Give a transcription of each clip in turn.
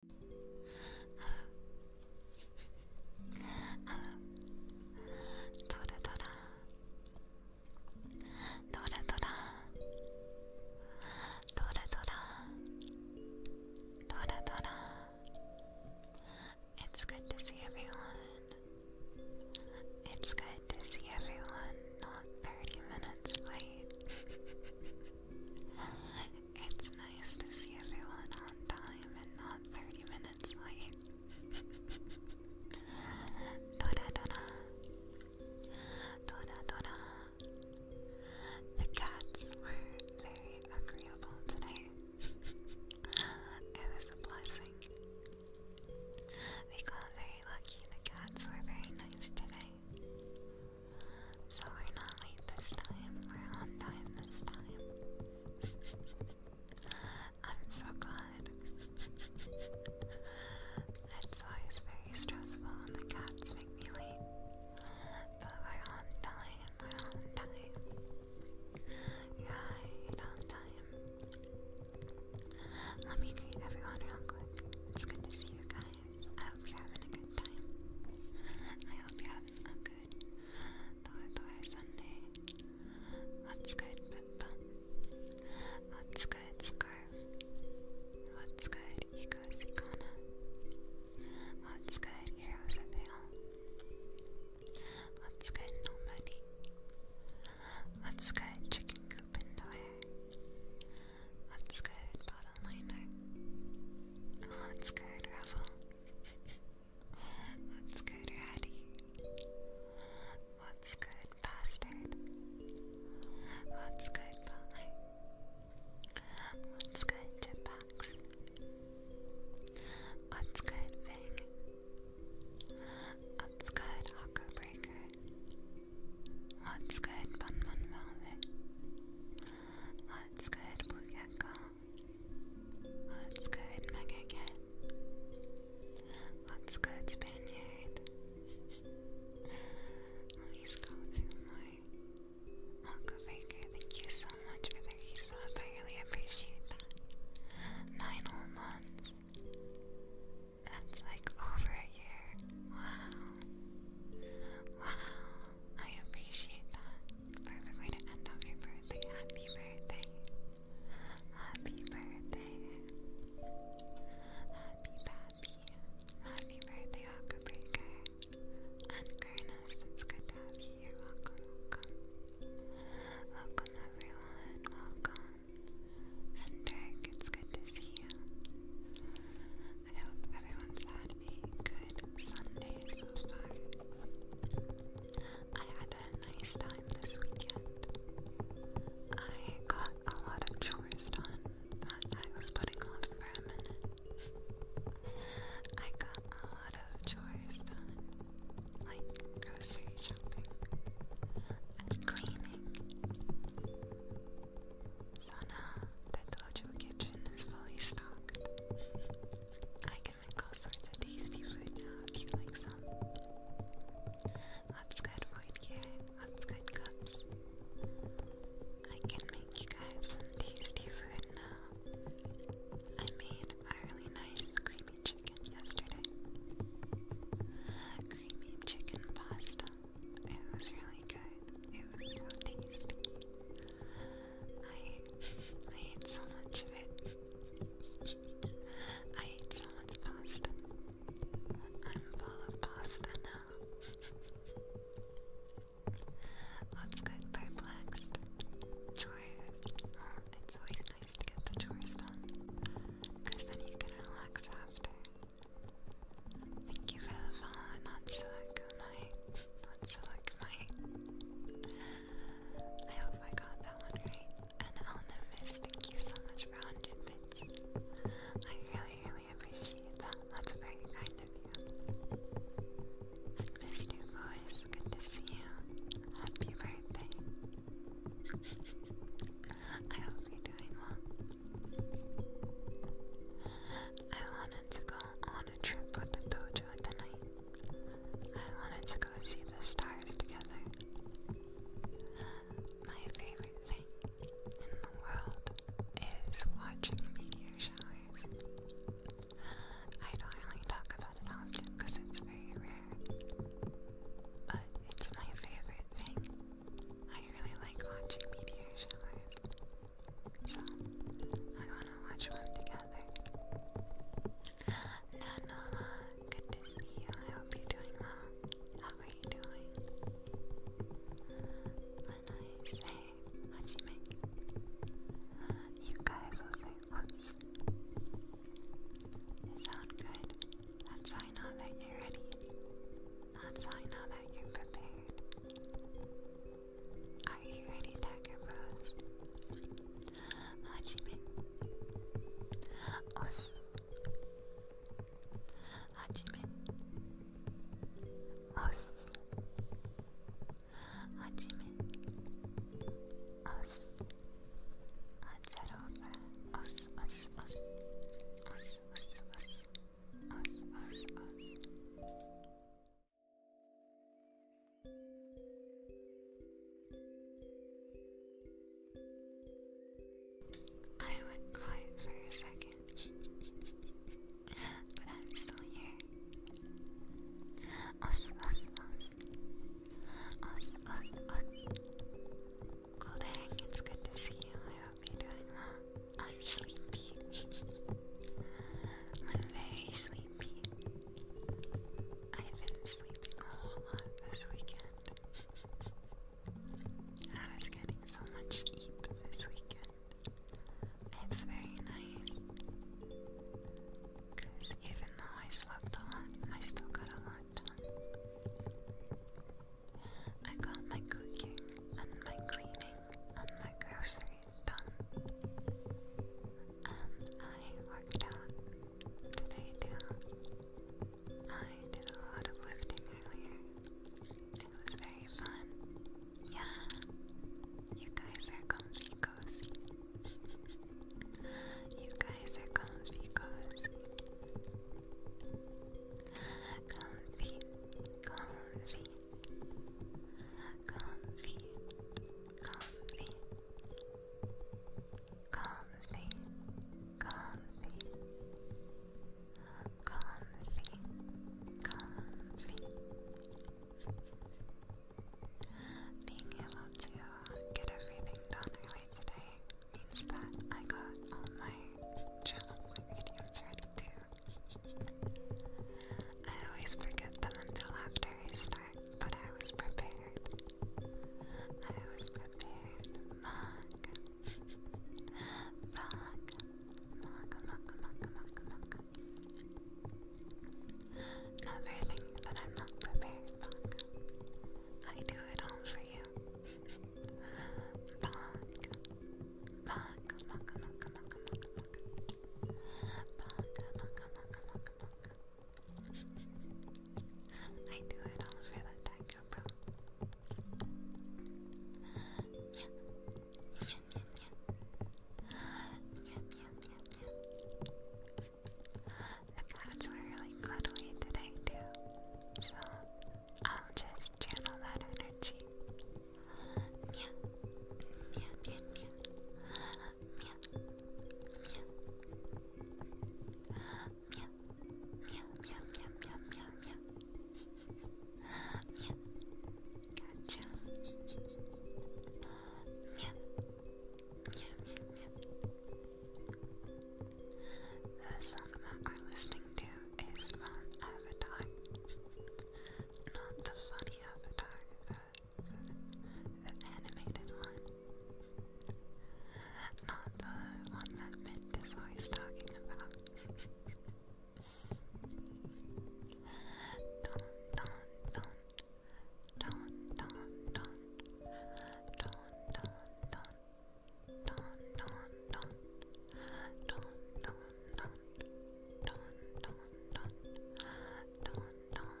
Dora Dora Dora Dora Dora Dora It's good to see everyone. It's good to see everyone not 30 minutes late. It's nice to see everyone on time and not 30 minutes late. Dora Dora. Dora Dora. The cats were very agreeable today. it was a blessing. We got very lucky. The cats were very nice today. So we're not late this time, we're on time this time. I'm so glad. it's always very stressful when the cats make me late. But we're on time, we're on time. Yeah, you're on time. Let me greet everyone real quick. It's good to see you guys. I hope you're having a good time. I hope you're having a good Toy Toy Sunday. What's good, Pippa? What's good, Scarf? What's good, Ego Sikana? What's good, Heroes of What's good, Nobody? What's good, Chicken Coop and What's good, Bob? bottom oh, that's good, Raffle. What's good, Ratty? What's good, Bastard? What's good, Polly? What's good, Chipbox? What's good, Fang? What's good, Hawker Breaker? What's good, Bun Velvet? Let's go ahead, Blue Cat thank you so much for the resub. I really appreciate that. Nine whole months. That's like over a year. Wow. Wow. I appreciate that. Perfect way to end off your birthday. Happy birthday. Happy birthday. Happy Pappy. Happy birthday, Breaker. And Gurnas, it's good to have you Welcome, welcome. Welcome, everyone. Welcome. And Dirk, it's good to see you. I hope everyone's had a good Sunday so far. I had a nice time this weekend. I got a lot of chores done I was putting off for a I got a lot of chores done, like grocery shopping and cleaning. So the Ojo kitchen is fully stocked, I can make all sorts of tasty food now if you like some. That's good right here. That's good cups. I can make you guys some tasty food now. I made a really nice creamy chicken yesterday. Creamy chicken pasta. It was really good. It was so tasty. I I ate so much of it. I ate so much pasta. I'm full of pasta now. What's good, perplexed? Chores. Oh, it's always nice to get the chores done. Because then you can relax after. Thank you for the follow, not silicone. That's that's like my. I hope I got that one right. And Elna thank you so much for 100 bits. I really, really appreciate that. That's very kind of you. And Miss good to see you. Happy birthday. I hope you doing well. I wanted to go on a trip with the dojo tonight. I wanted to go see the stars together. My favorite thing in the world is watching meteor showers. I don't really talk about it often because it's very rare. But it's my favorite thing. I really like watching meteor showers. So I wanna watch one together. Nanola, good to see you. I hope you doing well. How are you doing? When I say hajime, you guys will say whoops. You sound good. That's how I that you're ready. That's how I that you're prepared. Are you ready, to Bros? Hajime. Os. Hajime. Os. Hajime. Os. Os, os, os. Os, os, os. Os, os, os. I went quiet for a second, but I'm still here. Us, us, us. Us, us, us. Cool dang, it's good to see you. I hope you're doing well. I'm sleepy. I'm very sleepy. I've been sleeping a lot this weekend. I was getting so much sleep this weekend. It's very nice. Because even though I slept a lot, I still got a lot done. I got my cooking and my cleaning and my grocery done. And I worked out today too. I did a lot of lifting earlier. It was very fun. Yeah, you guys are comfy cozy. you guys are comfy cozy. Comfy, comfy, comfy, comfy, comfy, comfy, comfy, comfy. Being able to get everything done early today means that I got all my journal videos ready too. I always forget them until after I start, but I was prepared. I was prepared. Mug. Mug. Mug, mug, mug, mug, mug. Never think that I'm not prepared, Mug. I do it all for you. Mug. Mug, mug, mug, mug, mug, mug. Baka, baka, I do it all for the Taco The clouds were really cuddly today, too. So, I'll just channel that energy. Gotcha. The song that I'm listening to is from Avatar. Not the funny Avatar, the the animated one. Not the one that Mint is always talking about. Don, don, don. Don, don, don. Don, don, don. Don, don, don. Don, don, don. Don, don, don. Don, don,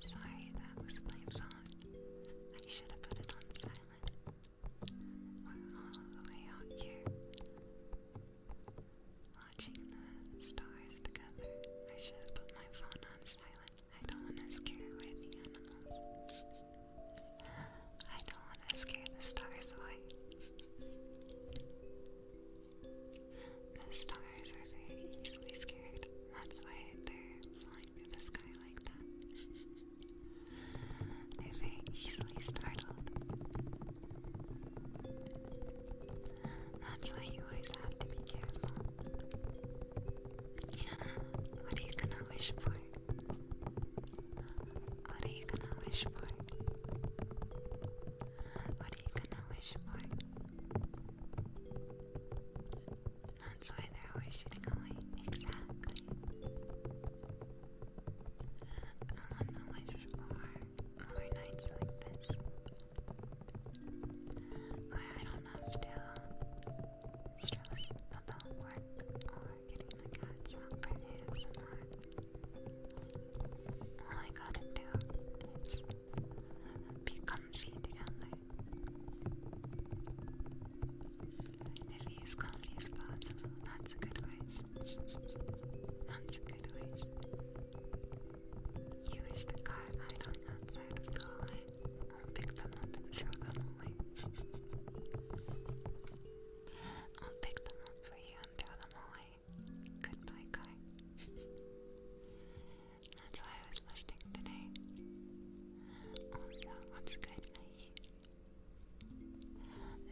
Sorry, that was my phone. I should have put it on silent. We're all the way out here. Watching the stars together. I should have put my phone on silent. I don't want to scare away the animals. I don't want to scare the stars away. The stars are easily scared. That's why they're flying flying through the sky like that. They're easily startled. That's why you always have to be careful. What are you gonna wish for? What are you gonna wish for? What are you gonna wish for? That's why they're always shooting away. Exactly. I want to wish for more nights like this. I don't have to stress about work or getting the cats out for All I gotta do is become country together. There is country as possible. That's a good wish. That's a good wish. You wish the guy idling outside would go away. I'll pick them up and throw them away. I'll pick them up for you and throw them away. Goodbye, guy. That's why I was lifting today. Also, what's good,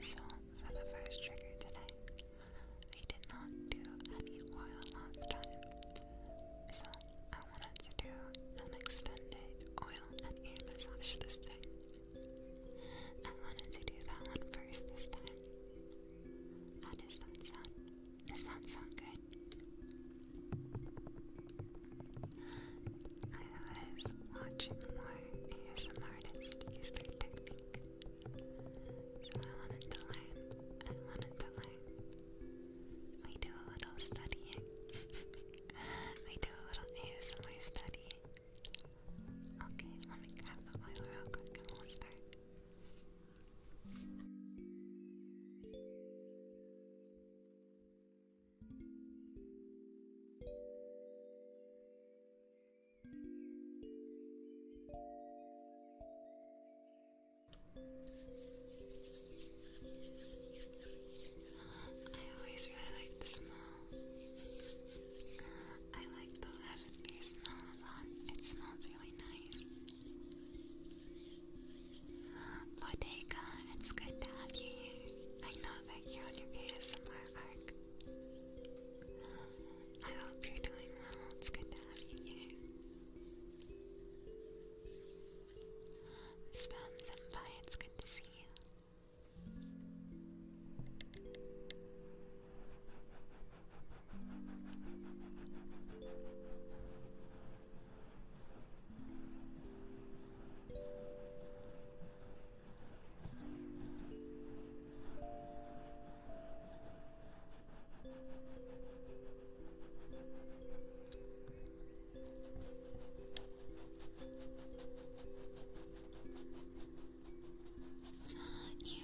So, for the first trigger today, I did not do any oil last time. So, I wanted to do an extended oil and ear massage this time. I wanted to do that one first this time. How does that sound? Does that sound good? I was watching more ASM artists use their technique. So I wanted to learn. I wanted to learn. We do a little studying. we do a little ASMR studying. Okay, let me grab the oil real quick and we'll start. I always really like the smell. I like the lavender smell a lot. It smells really nice. Bodega, it's good to have you here. I know that you're on your ASMR arc. I hope you're doing well. It's good to have you here. Spoon it's good to see you.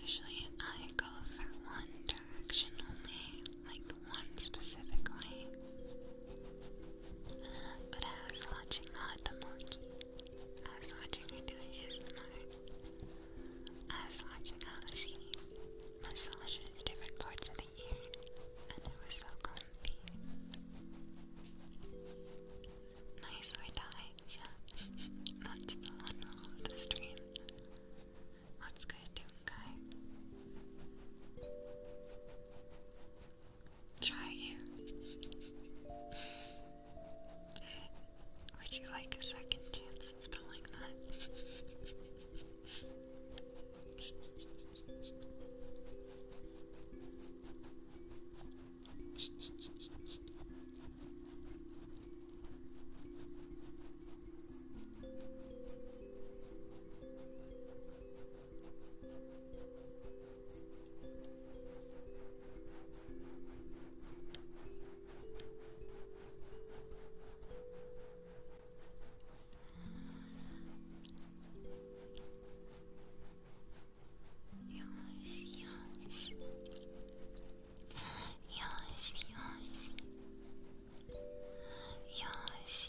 Usually I go for one direction only, like one specific but I was watching Hot the I was watching her do ASMR. I was watching how she massages different parts of the ear, and it was so comfy. Nicely tied, yeah. That's the one of the stream. What's good, Doom Guy? try you. Would you like a second chance at spelling that? よしよしよしよしよし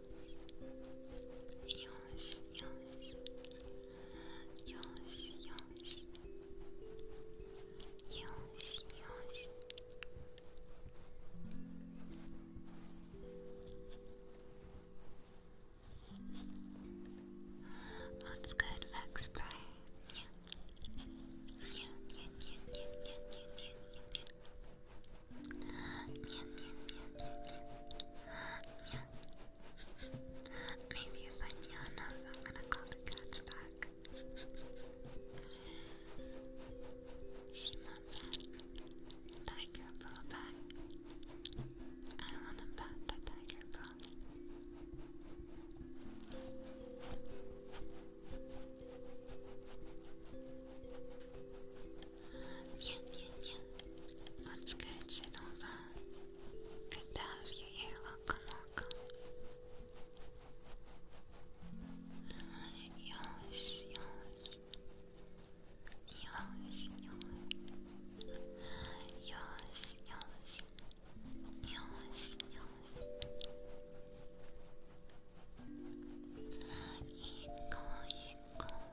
yours, yours, yours, yours, yours, yours. That's good, Vex Play. Yeah. Yeah, yeah, yeah, yeah, yeah, yeah, yeah, yeah. Maybe if I yell I'm gonna call the cats back. She's Tiger ball I want to bat the tiger ball. Yeah, yeah, yeah. What's good, Sinova? Good to have you here. Welcome, welcome. Yosh, yosh. Yosh, yosh. Yosh, yosh. Yosh, yosh. Echo, echo.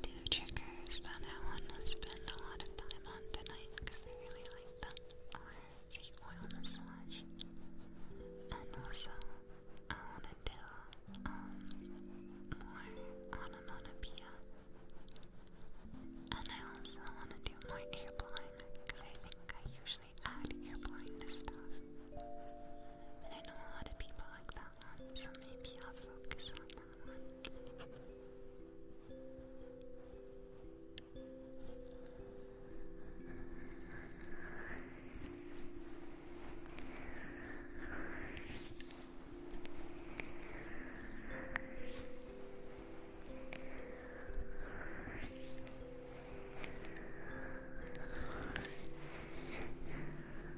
Two triggers that I want to spend a lot of time on tonight because I really like them are the oil massage and also I want to do um, more onomatopoeia and I also want to do more ear blowing because I think I usually add ear blowing to stuff and I know a lot of people like that so maybe I'll focus on that one.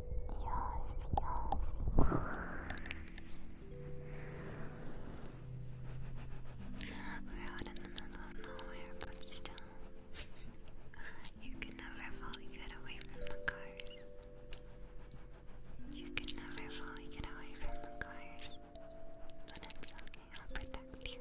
we you can never fully get away from the cars. You can never fully get away from the cars. But it's okay, I'll protect you.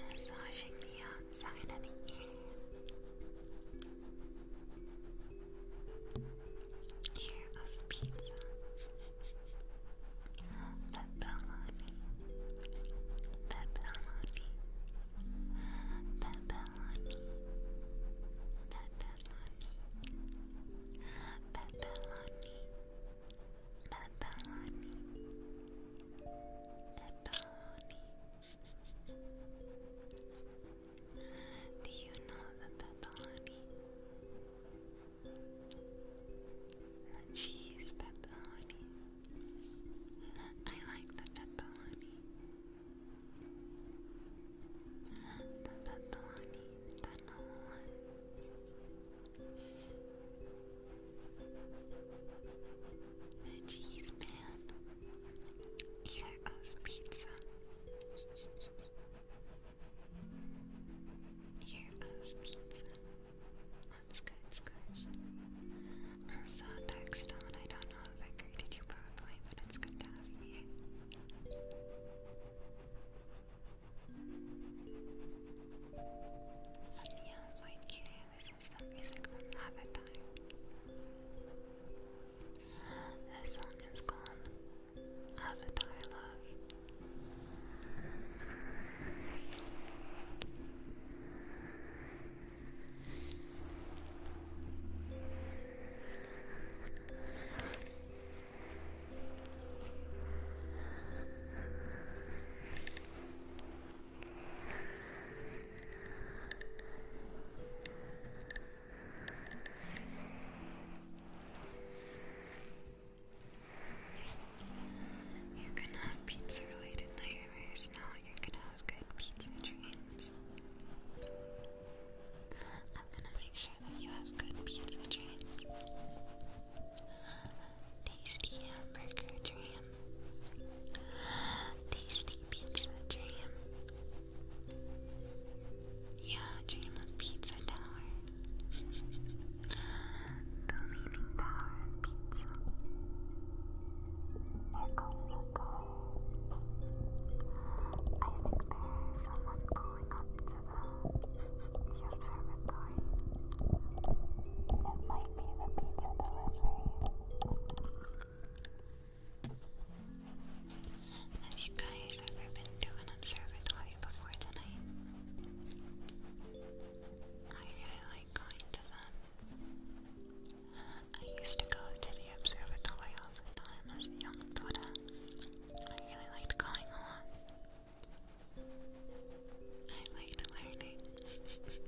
Massaging the outside of the ear. Ear of pizza pepperoni, pepperoni, pepperoni, pepperoni, pepperoni, pepperoni, pepperoni. Do you know the pepperoni? Cheese pepperoni. I like the pepperoni. The pepperoni, the new one. The cheese pan. Ear of pizza. Ear of pizza. That's good, Squish. I saw text on, I don't know if I greeted you properly, but it's good to have you here. And yeah, like you, this is the music from Avatar. This song is called Avatar Love. You're gonna have pizza related night you're gonna have good pizza dreams. I'm gonna make sure that you have good pizza dreams. Tasty hamburger dream. Tasty pizza dream. Yeah, dream of pizza tower. the Leaning Pizza. There goes a I think there is someone going up to the, observatory. That might be the pizza Have you guys ever been to an observatory before tonight? I really like going to them. I used to go to the observatory often as a young daughter. I really liked going along. I liked learning.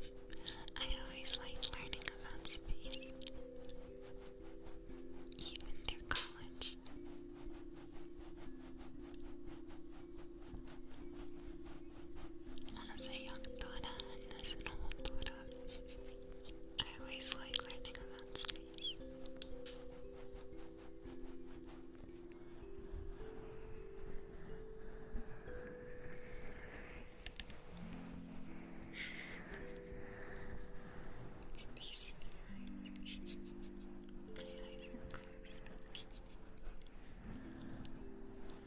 I always liked learning about space. Even through college. Honestly, young Dora and this little Dora. I always like learning about space. Space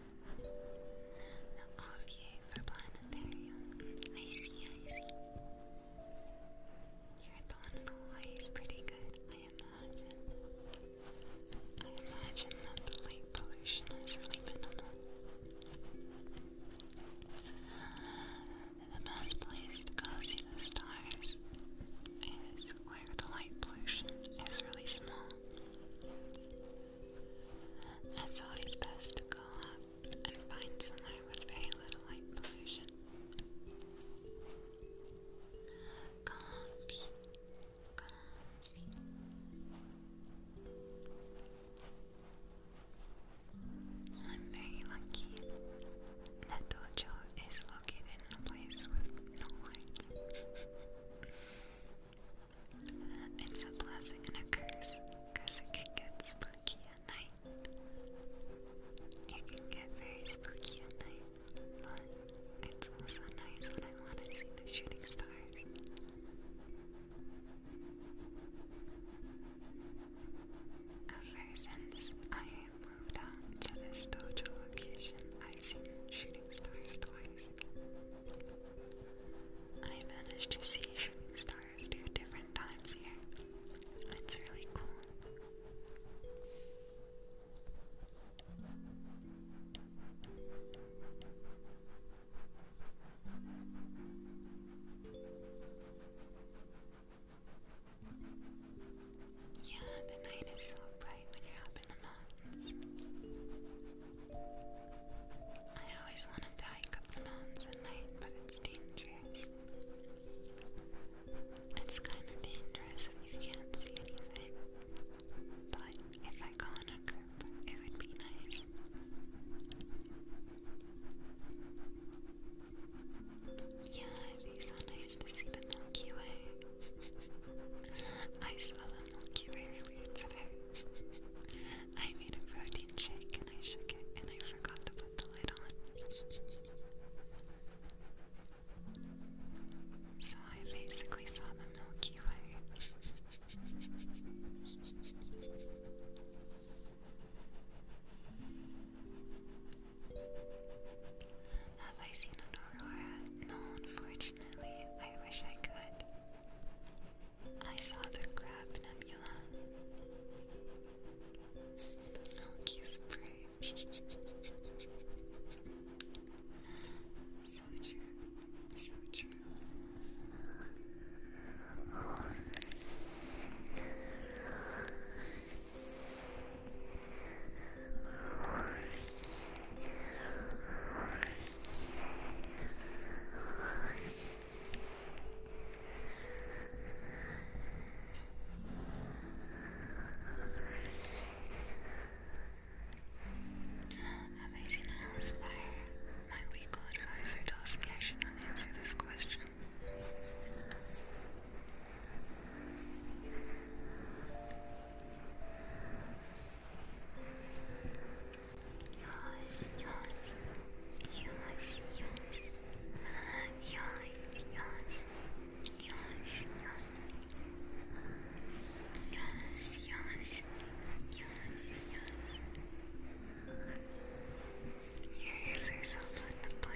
OVA for planetarium. I see, I see. Your thought in is pretty good, I imagine. that the light pollution is really minimal. The best place to go see the stars is where the light pollution is really small. It's always best to go out and find somewhere with very little light pollution. I'm very lucky that Dojo is located in a place with no light. It's a blessing and a curse, because it can get spooky at night. It can get very spooky at night, but it's also nice when I want to see the shooting stars. Ever since I moved out to this dojo location, I've seen shooting stars twice. I managed to see shooting stars two different times here. It's really cool. Yeah, the night is so bright when you're the mountains. I always wanted to hike up the mountains at night, but it's dangerous. It's kind of dangerous if you can't see anything. But if I go it would be nice. Yeah, it'd be so nice to see the Milky Way. I saw the Milky Way earlier today. I made a protein shake and I shook it and I forgot to put the lid on. So I basically saw the Milky Way. Have I seen an aurora? No, unfortunately. I wish I could. I saw the crab nebula. Milky spray. so true. So true. Have I seen an inspire? My legal advisor tells me I should not answer this question yours, yours, yours, yours, yours, yours, yours, yours, your ears are so fun to play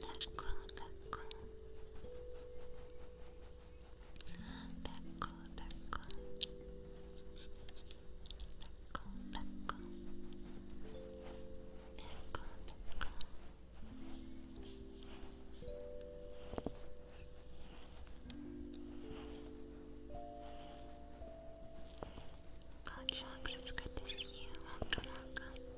Let go, let go. Let go, let go. Let go, let go. Let go, let go. Good job, it's good to see you. Welcome, welcome.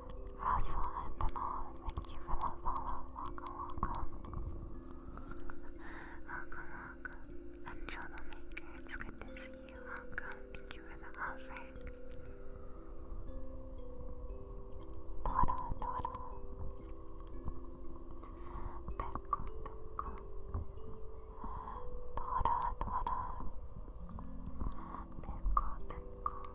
That's all I don't know. Thank you for the follow. Welcome, welcome. Welcome, welcome. I'm Troublemaker. It's good to see you. Welcome. Thank you for the offer. Dora, Dora. Becco, Becco. Dora, Dora. Becco, Becco.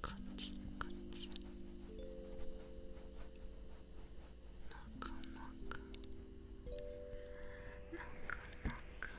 cuts, cuts. Naka, naka. Naka, naka. Naka,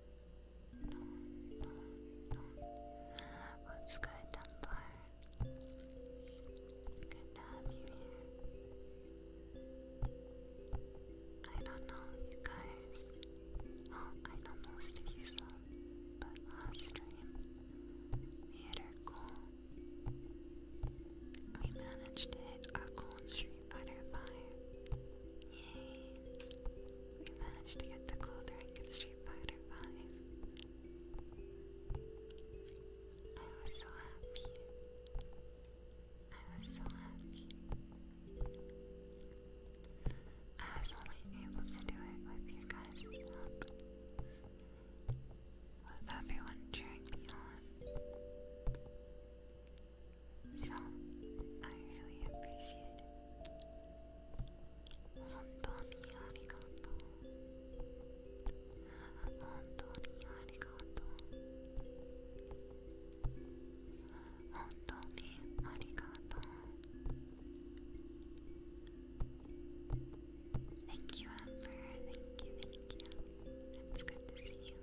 What's good, Dunbar? Good to have you here. I don't know, you guys. Well, I know most of you saw, but last stream, we hit our goal. We managed to hit our goal street butterfly. Yeah. We managed to get the clothing in Street Fighter 5. I was so happy. I was so happy. I was only able to do it with your guys' help. With everyone cheering me on. So, I really appreciate it. you, Amber. Thank you, thank you. It's good to see you.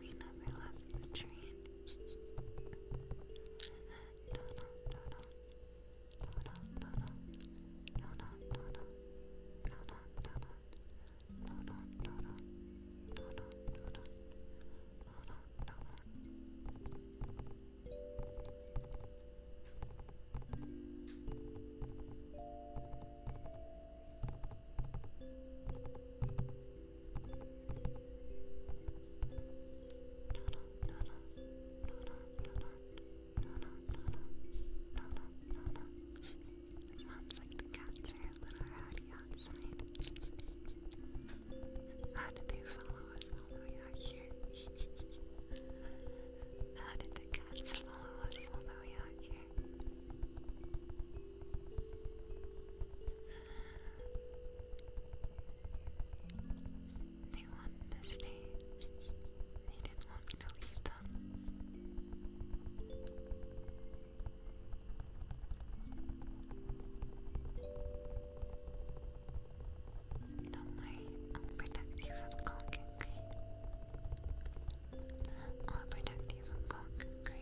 We never left the train. It sounds like the cats are a little rowdy outside. How did they follow us all here? How the cats follow us all here? They wanted to stay. They didn't want me to leave them. Don't worry, I'll you I'll protect you from cock coconut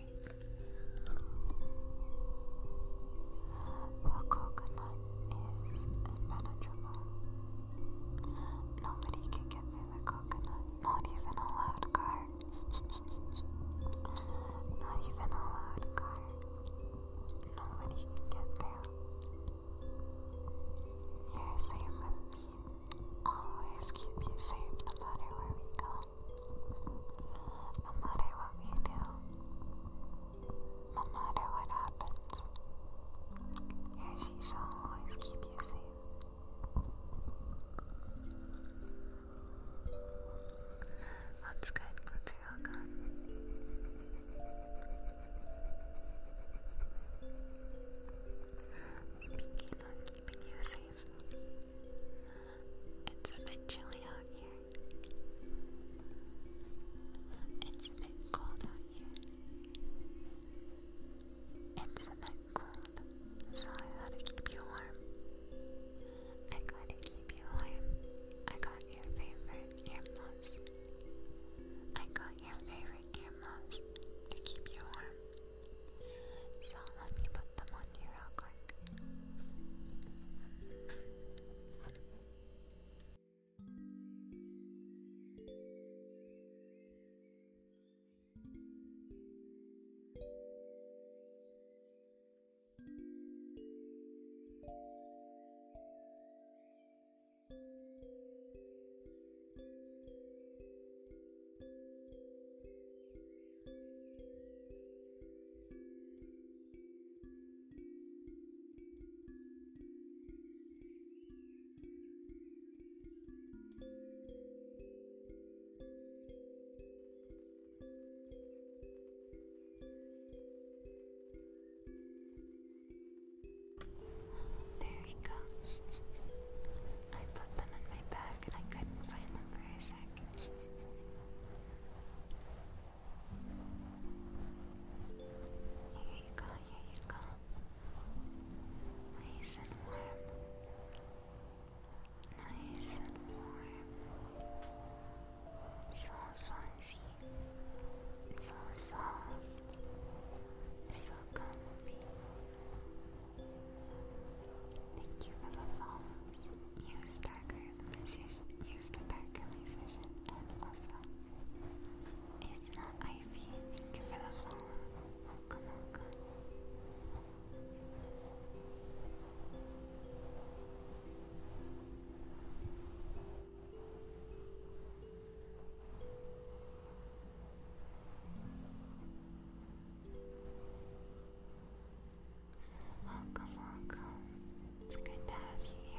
is impenetrable, nobody can get through the coconut, not even a loud car. not even a loud car. Nobody can get through. You're safe me. Always keep you safe no matter where we go. No matter what we do, no matter what happens, she shall always keep you safe. That's good, that's real good. Speaking of keeping you safe, it's a bit chilly out here. It's a bit cold out here. It's a bit cold, so I gotta keep you warm. I gotta keep you warm. I got your favorite earmuffs. I got your favorite earmuffs to keep you warm. So let me put them on you real quick. There you go. I put them in my bag and I couldn't find them for a second. Here you go, Nice and warm. Nice and warm. So fancy. So soft. So comfy. Thank you for the follows. Use darker illumination. Use the dark And also, it's not Ivy. Thank you for the follow. Welcome, welcome. Welcome, welcome. It's good to have you here.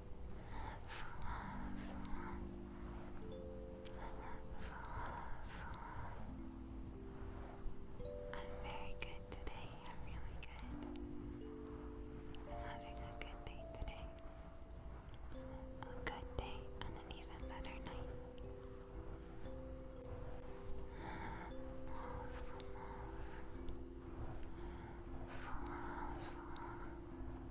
I'm very good today. I'm really good. I'm having a good day today. A good day and an even better night. Love, love.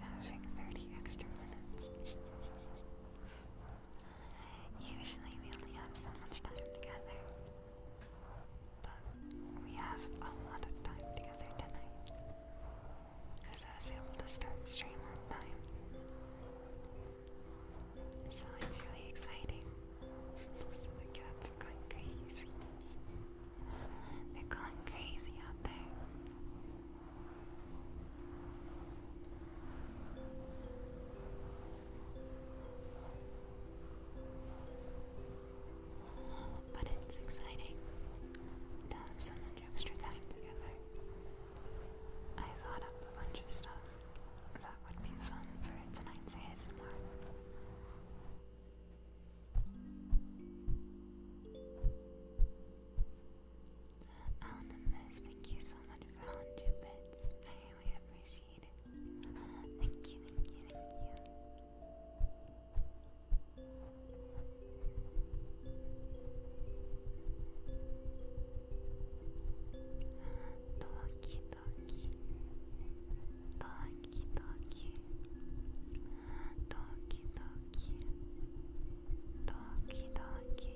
having 30 extra minutes. Usually we only have so much time together. But we have a lot of time together tonight. Because I was able to start stream time. So it's really exciting. the cats are going crazy. They're going crazy out there. But it's exciting to have so much extra time together. I thought up a bunch of stuff that would be fun for tonight's ASMR. Anonymous, thank you so much for 100 bits. I really appreciate it. Thank you, thank you, thank you. Doki Doki. Doki Doki. Doki Doki. Doki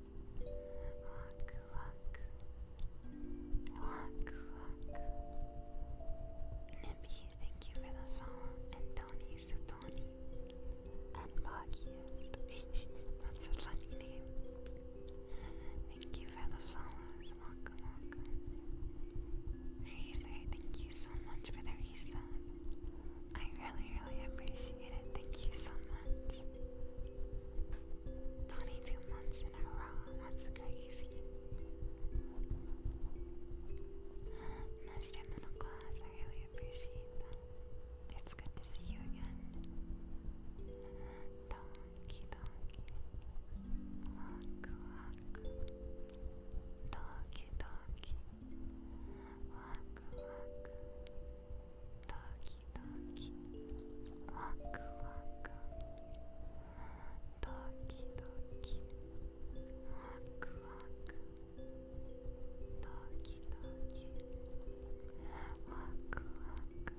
Walk, walk. Walk, walk. Nippy, thank you for the follow. And Tony Sutoni. And Boggiest. That's a funny name. Thank you for the follows. Welcome, welcome. Razor, thank you so much for the reset. I really, really appreciate it. Thank you so much. 22 months in a row. That's crazy. Master Middle Class, I really appreciate that. It's good to see you again. Donkey, donkey. Waku, waku. Donkey, donkey. Waku, waku. ドキドキワクワクドキドキワクワクドキドキワクワクドキドキワクワク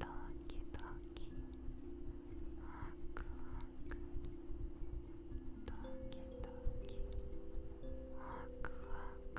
ドキドキワクワク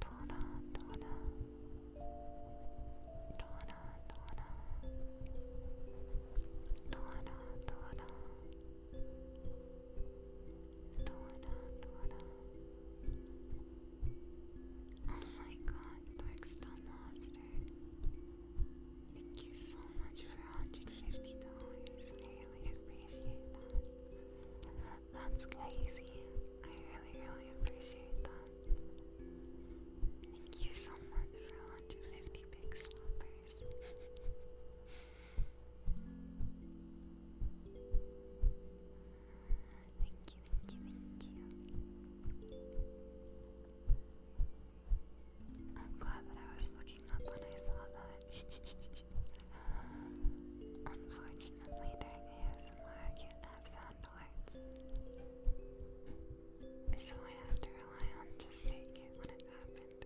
Donna, Donna, Donna, Donna, Donna, Donna, Donna, Donna. Oh Thank you so much for $150. really appreciate that. That's crazy. I really, really appreciate that. Thank you so much for 150 big slappers. thank you, thank you, thank you. I'm glad that I was looking up when I saw that. Unfortunately, during ASMR, can't have sound so I had to rely on just seeing it when it happened.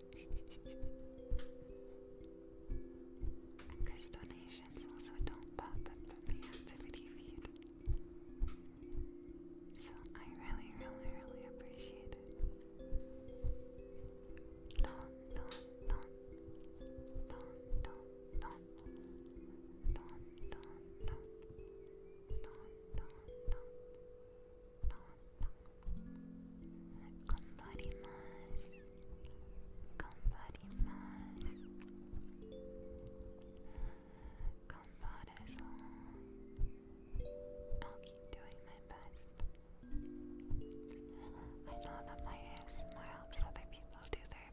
because donations also don't pop up from the activity feed. So I really, really, really appreciate it. don, don. Don, don, don. I'll keep doing my best. I know that my ASMR helps other people do their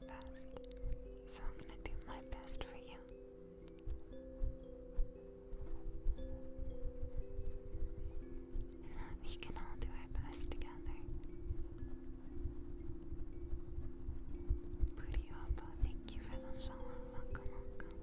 so I'm gonna do my best for you. We can all do our best together. Puriopa, thank you for the show. Welcome, welcome.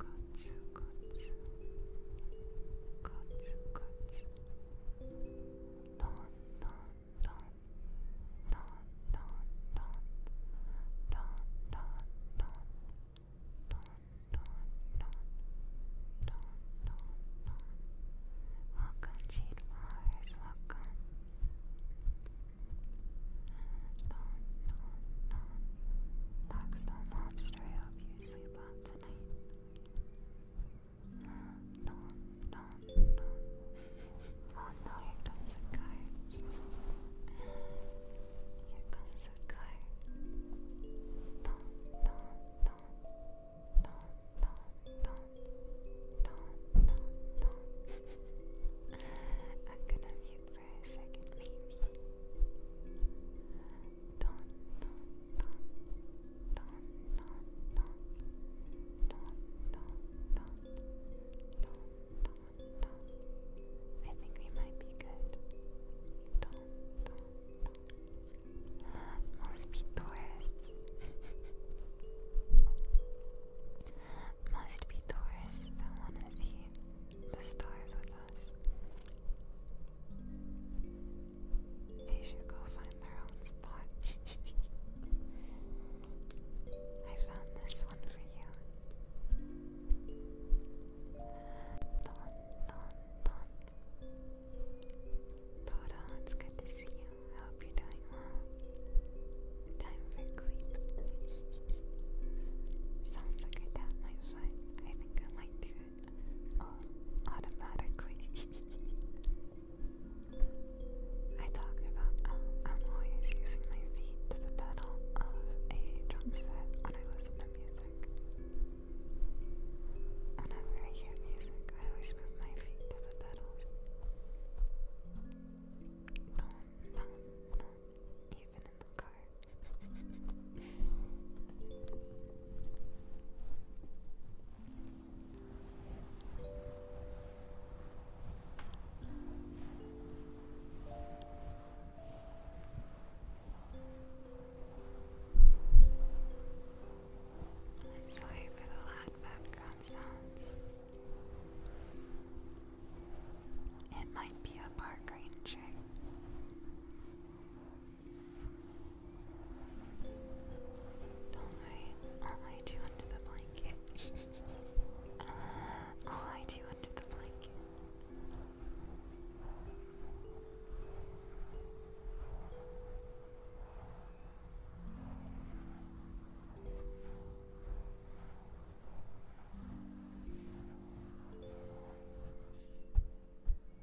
Kotsu, kotsu. Kotsu, kotsu. Don, don, don. Don, don, don. Don, don, don. Don, don, don. Don, don, don. Welcome, Cheat Mars. Welcome. Don, don, don. Blackstone Lobster, I hope you sleep well tonight. No, no, no, no. Oh no, here a car. Here comes a car. No, no, no. No, no, no. No, no, no. I'm gonna for a second, I think we might be good. Must be tourists. Must be tourists that want to see the stars with us. They should go find their own spot. I found this one for you. Don, don, don. Poda, it's good to see you. I hope you're doing well. Time for creep. Sounds like I tapped my I think I might do uh, automatically. I talked about uh, I'm always using my feet to the pedal of a drum set when I listen to music. Whenever I hear music, I always move my feet to the pedals. No, no, no. Even in the car. I'm sorry for the loud background sounds. It might be a park ranger. Don't lie. I'll lie to you under the blanket. I'll lie to you under the blanket. Good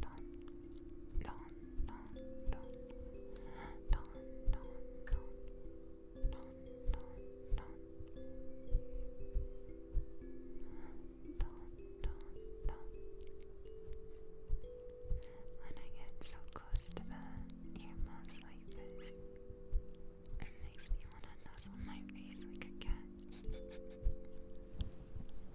don, don, When I get so close to the earmuffs like this, it makes me want to nuzzle my face like a cat.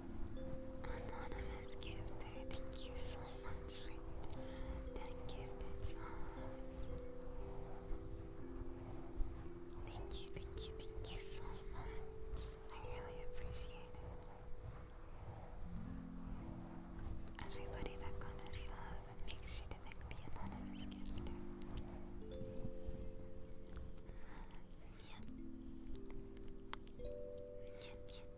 Anonymous Gifter, thank you so much for that gifted songs. Thank you, thank you, thank you so much. I really appreciate it. Everybody that got a sub, sure to make the anonymous gifter. Yeah. Yeah, yeah,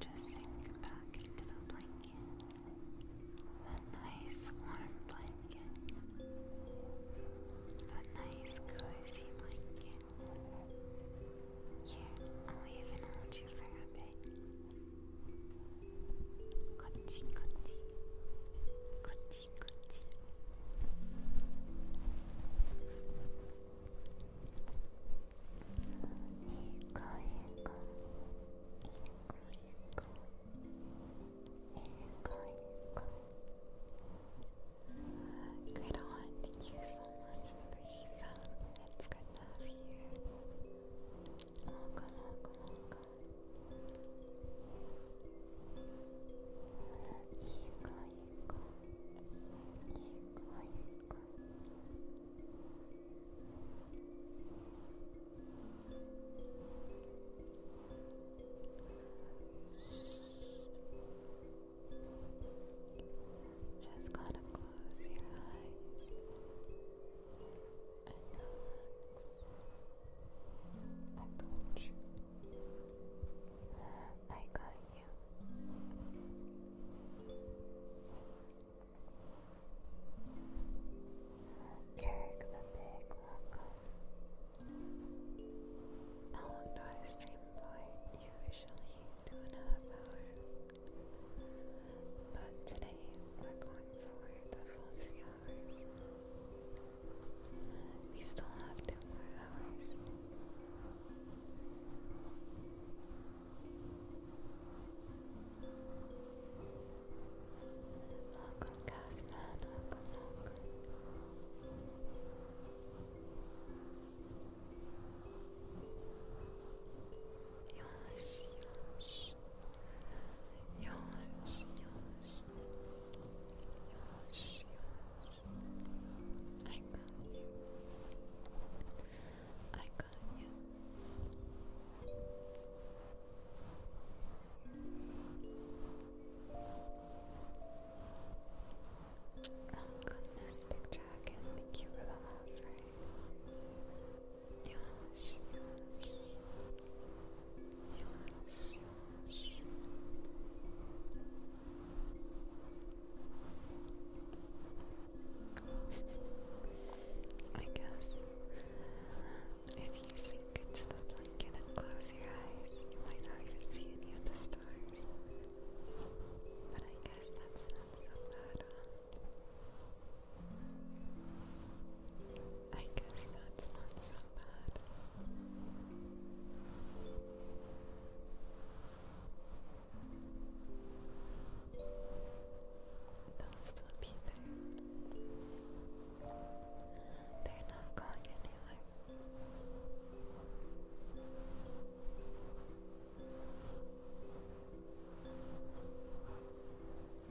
Just sink back into the blanket. A nice warm blanket. A nice cozy blanket. Here, I'll even hold you for a bit. Kochi, kochi. Kochi, kochi. on, thank you so much for breeze up. It's good to have you here. Welcome, welcome, welcome. Eco, eco. Eco, eco. Welcome, just kind of close your eyes and relax. I got you. I got you. Kirk the Big, welcome. How long do I stream for? Usually two and a half hours. But today we're going for the full three hours. We still have two more hours. Welcome, Gasman. Welcome, welcome. Yours, yours, yours, yours, I got you. I got you. Welcome to this picture dragon. Thank you for the offer. Yosh, yosh. Yosh, yosh. I guess if you sink into the blanket and close your eyes, you might not even see any of the stars. But I guess that's I guess that's not so bad. They'll be there. They're not going anywhere.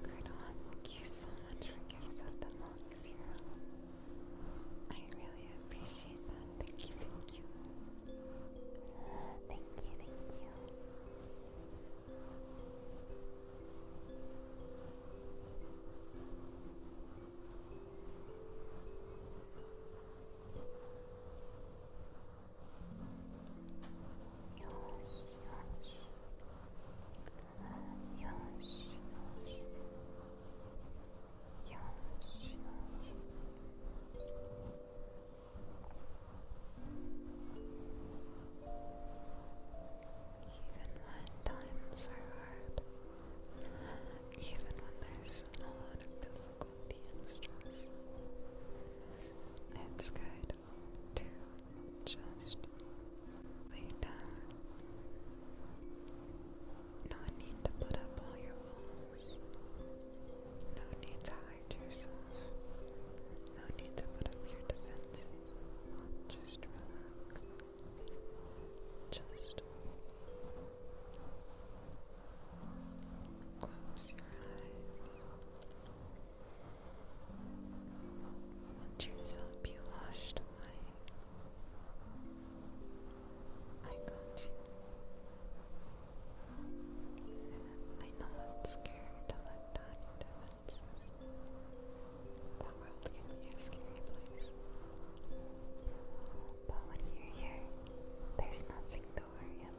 Cardona, thank you so much for gifts of the long zero. I really appreciate that. Thank you, thank you. Thank you, thank you. Yes, yes. Yes, yes. Yes, yes. Even when times are hard, even when there's a lot of the extras. It's good to just lay down. No need to put up all your walls. No need to hide yourself. No need to put up your defenses. Just relax. Just Close your eyes. Let yourself be washed away. I got you. I know it's scary to let down your defenses. The world can be a scary place. But when you're here, there's nothing to worry get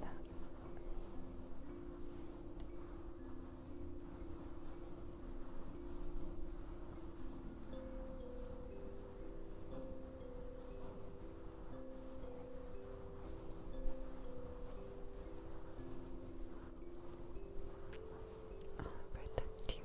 I'll protect you.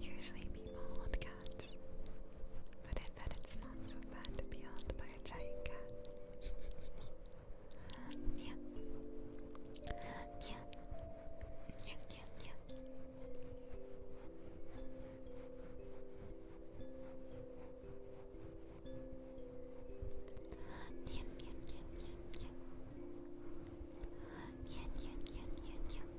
Usually people hold cats, but I bet it's not so bad to be held by a giant cat. yeah. Yeah. Yeah, yeah, yeah. Yeah, yeah, yeah, yeah, yeah. Yeah, yeah, yeah, yeah, yeah.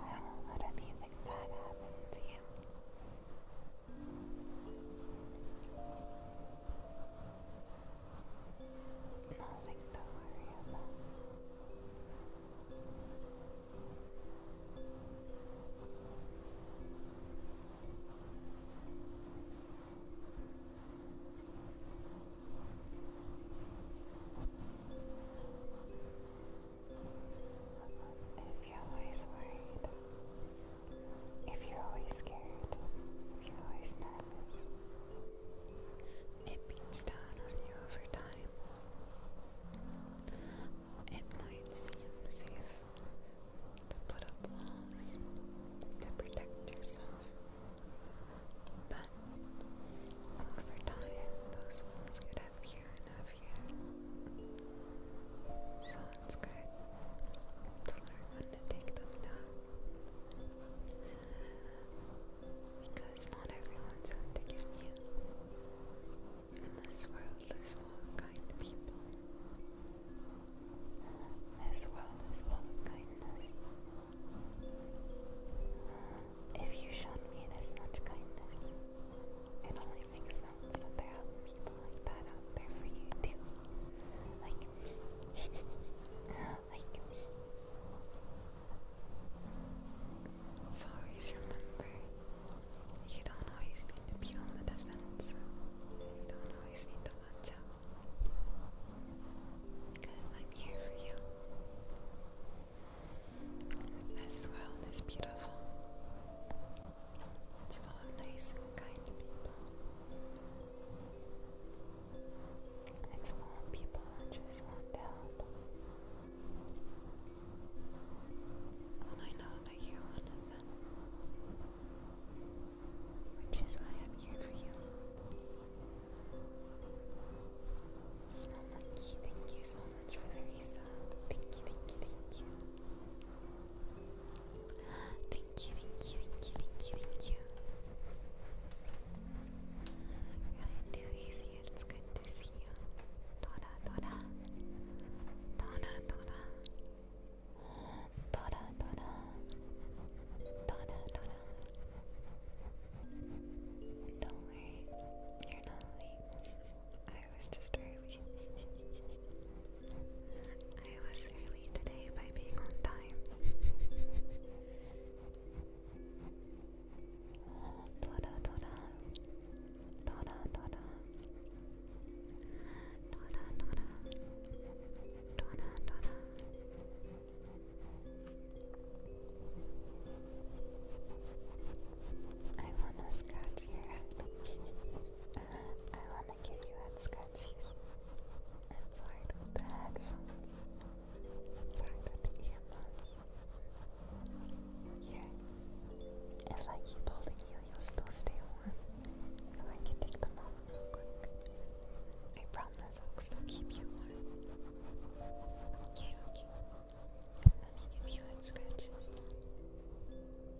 I won't let anything bad happen to you. Nothing to worry about. I if you're always worried, if you're always scared, if you're always nervous, it beats down on you over time. It might seem safe to put up walls to protect yourself, but over time, those walls get so it's good to learn when to take them down. Because not everyone's out to get you. In this world, is full of kind people. This world is full of kindness. If you showed me this much kindness, everything you always remember, you don't always need to be on the defense. You don't always need to watch out. Because I'm here for you. This world is beautiful. It's full of nice, kind people. And it's more people that just want help. And I know that you're one of them. Which is why I'm here for you. Smell lucky, thank you so much for the resub. Thank you, thank you, thank you. Thank you, thank you, thank you, thank you, thank you. Got it too easy. It's good to see you. Dora, Dora. Dora, Dora. Dora, Dora. Don't worry, you're not late. I was just early. I was early today by being on time. oh, ta da ta da. Ta da ta I wanna scratch your head. I wanna give you scratches. It's hard the headphones. It's hard the earphones. Here. If I keep holding you, you'll still stay warm. So I can take them off real quick. I promise I'll still keep you warm. Okay, okay. Let me give you head scratches.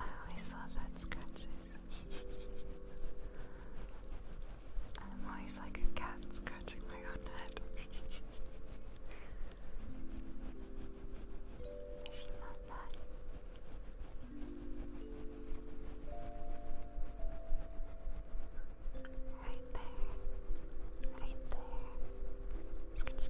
I always love that scratches. I'm always like a cat scratching my own head. she meant that. Right there. Right there. Scratch,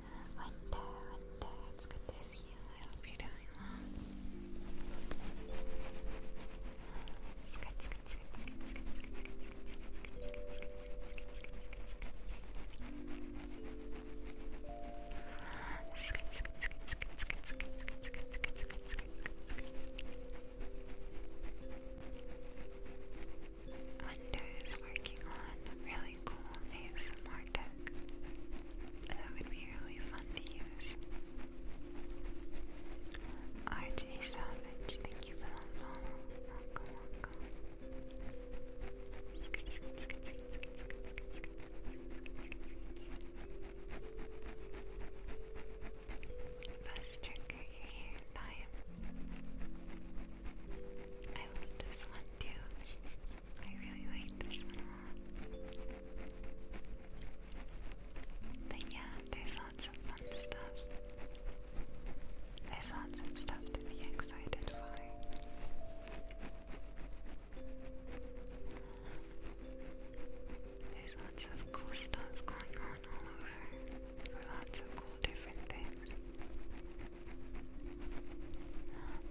Winter, Winter, it's good to see you. I hope you're doing well. Scratch, scratch, scratch, scratch, scratch, scratch, scratch, scratch, scratch, scratch, scratch, scratch, Wonder is working on really cool ASMR tech that would be really fun to use. RJ Savage, thank you for the follow. Welcome, welcome. Best trigger your hair time. I love this one one I really like this one But yeah, there's lots of fun stuff. There's lots of stuff to be excited for. There's lots of cool stuff going on all over. For lots of cool different things.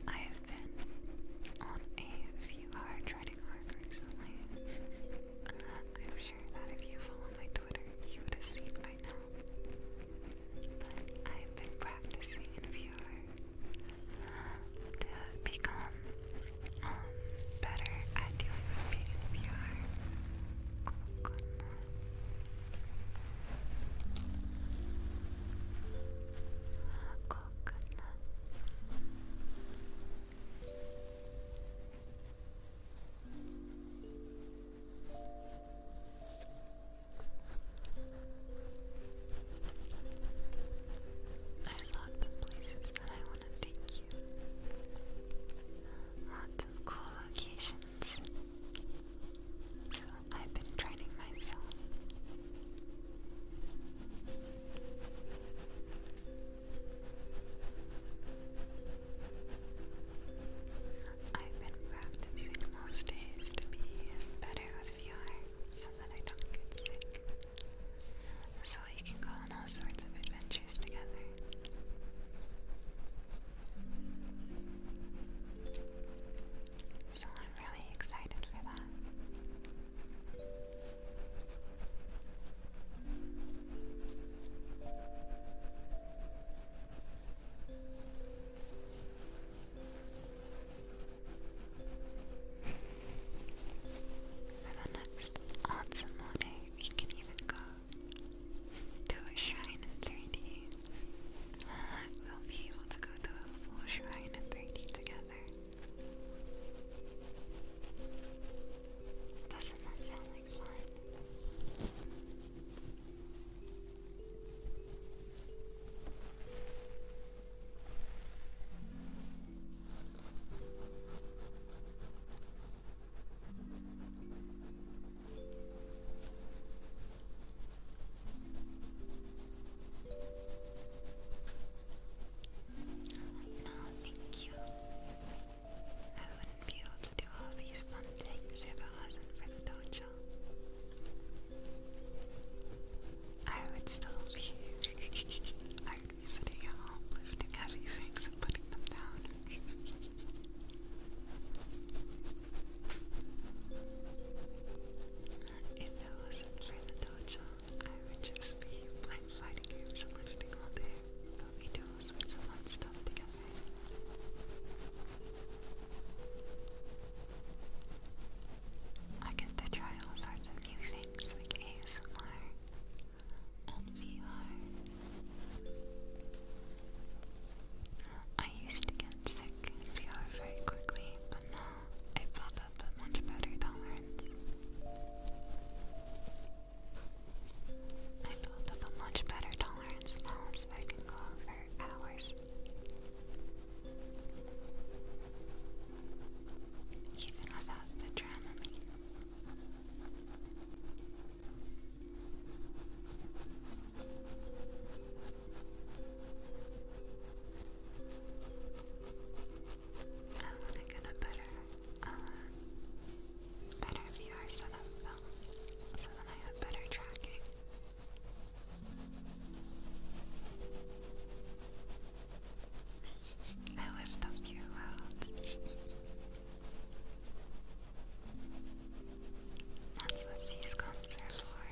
I have been on a few hard hard recently. I'm sure that if you follow my Twitter, you would have seen by now. But I've been practicing in VR to become um, better at dealing with in VR. Oh, Coconut. There's lots of places that I want to take you. Lots of cool locations. I've been training myself. I've been practicing most days to be better with the so that I don't get sick. So we can go on all sorts of adventures together. So I'm really excited for that. For the next Otsamone, we can even go to a shrine in 3 We'll be able to go to a full shrine of beauty together. Doesn't that sound like fun? No, thank you. I wouldn't be able to do all these fun things if it wasn't for the dojo. I would still be sitting at home lifting heavy things and putting them down. If it wasn't for the dojo, I would just be playing fighting games and lifting all day. But we all sorts stuff together. I get to try all sorts new things like ASMR and VR. I used to get sick VR very quickly, but now i built up a much better tolerance. I built up a much better tolerance now, so I can go for hours. Even without the Dramamine. I want to get better, uh, better VR setup um, so then I have better tracking. I lift up your world. That's what these comps are for.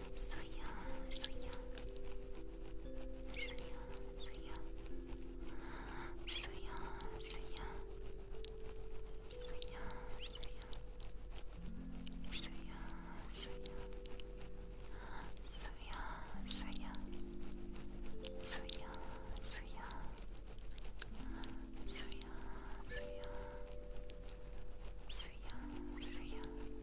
Suya, yeah, so yeah. So yeah, so yeah. So yeah, so yeah. So yeah, so yeah. So yeah,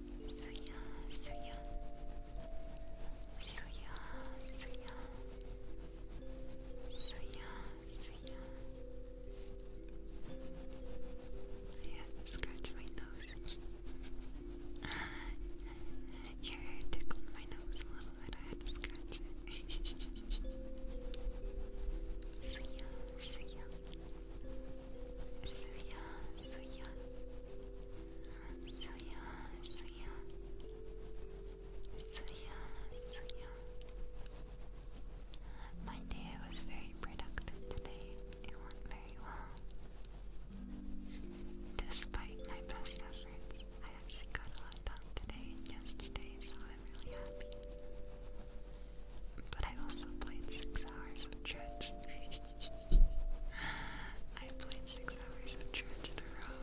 Suya, Suya, Suya, Suya, Suya, Suya. Yeah, scratch my nose. Your hair tickled my nose a little bit. I had to scratch it. Suya, Suya, Suya. Suya, my day was very productive today. It went very well. Despite my best efforts, I actually got a lot done today and yesterday, so I'm really happy. But I also played six hours of church. I played six hours of church in a row.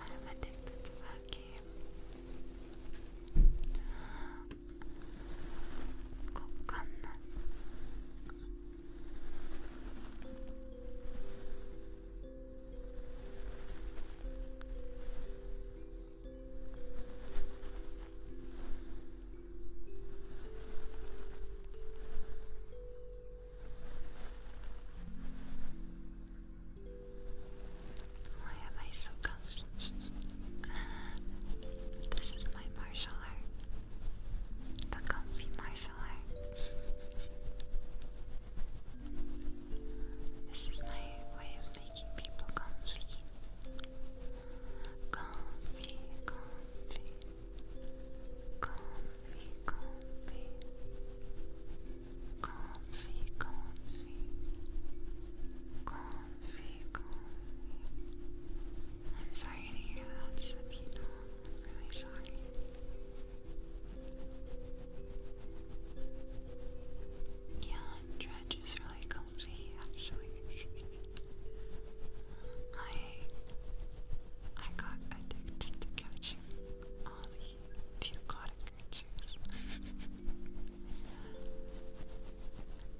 I'm to that game. Why am I so comfy? this is my martial art. The comfy martial art. this is my way of making people comfy comfy, comfy, comfy, comfy, comfy, comfy, comfy, comfy. I'm sorry to hear that, Sabina. I'm really sorry. Yeah, Dredge is really cool healthy actually. I I got addicted to catching all the aquatic creatures.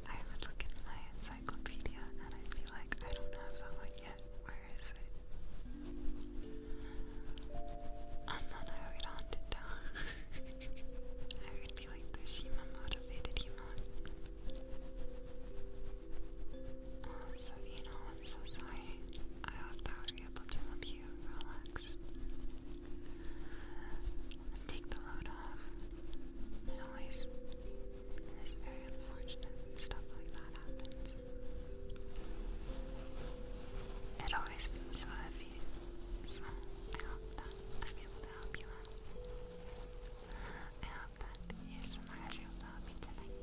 I would look in my encyclopedia and I'd like, I don't have that one yet. Where is it? And then I would hunt it down. I would be like the Shima motivated human. Awesome, um, you know, I'm so sorry. I hope that was able to help you relax. take the load off. It always is very unfortunate when stuff like that happens. It always feels so heavy. So I hope that I'm able to help you I hope that is reminds you of me tonight.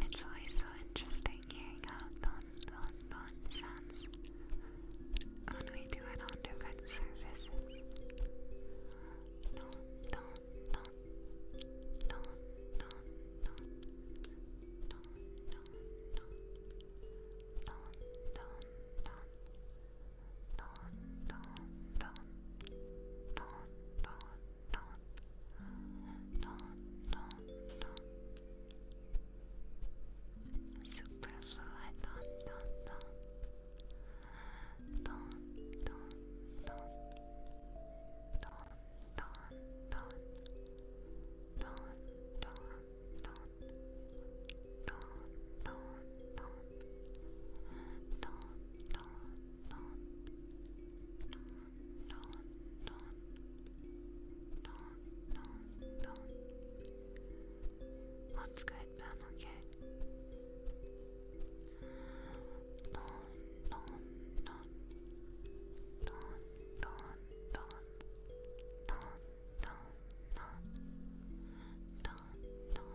It's always so interesting hearing how don don sounds when we do it on different services. Don, don, don, don, don, don, don, don, don. Superfluid don, don, don, don, don, don, don, don, don, don, don, don, don, don, don, don. Don, non. What's good, man? Okay. Non, non, non. Non, non, non. Non, non, non. Non, non, non. Non, non, non.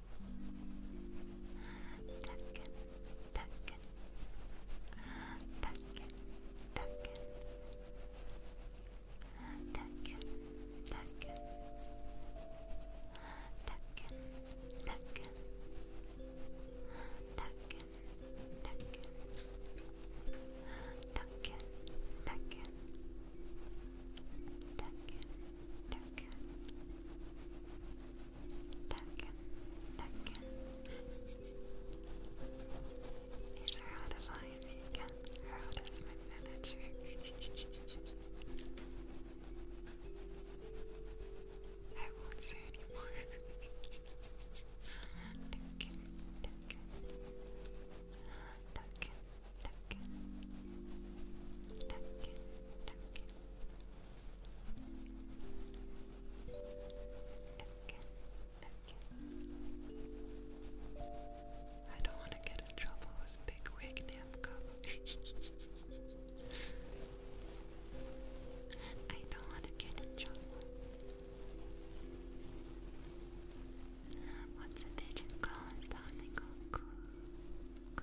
Duncan, Duncan, Duncan, Duncan, Duncan, Duncan, Duncan, Duncan, Duncan, Duncan, Duncan, Duncan, Duncan, Duncan, Tekken, Tekken. These are how to find me again. How does my manager? I won't say anymore. Tekken, Tekken. Tekken, Tekken. Tekken, Tekken okay. I don't want to get in trouble with Big Wig I don't want to get in trouble. What's a pigeon call? It's the I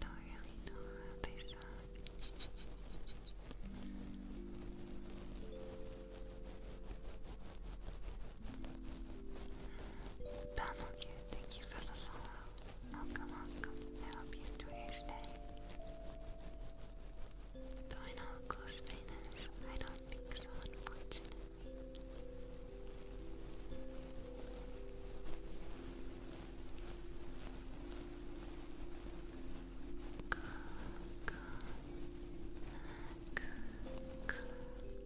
don't really know how they Battlecare, thank you for the follow. Welcome, you enjoy your stay. Do I know close Spain I don't think so, unfortunately.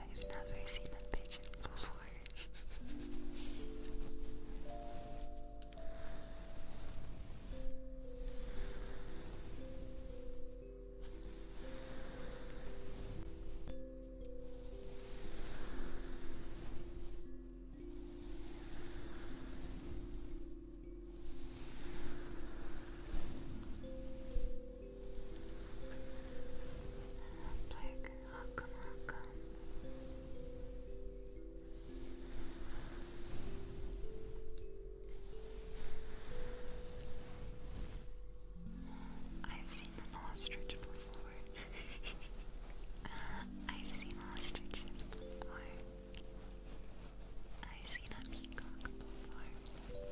I've never seen a pigeon before. I've seen an ostrich before. I've seen ostriches before. I've seen a peacock before.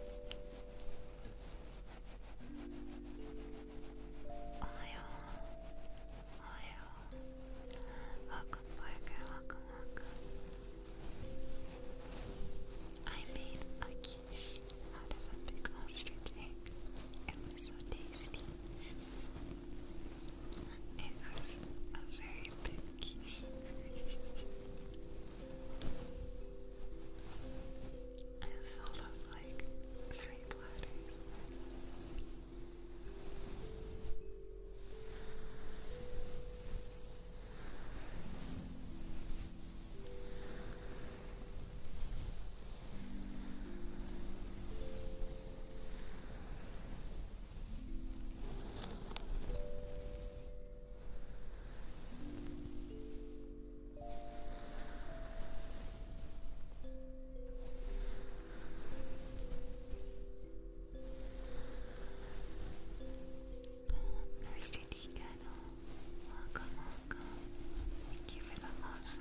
Welcome, Parker. I made a quiche out of a big ostrich It was so tasty. It was a very big quiche. I filled like three platters. Mr. Decattle, welcome, welcome. Thank you for the offer.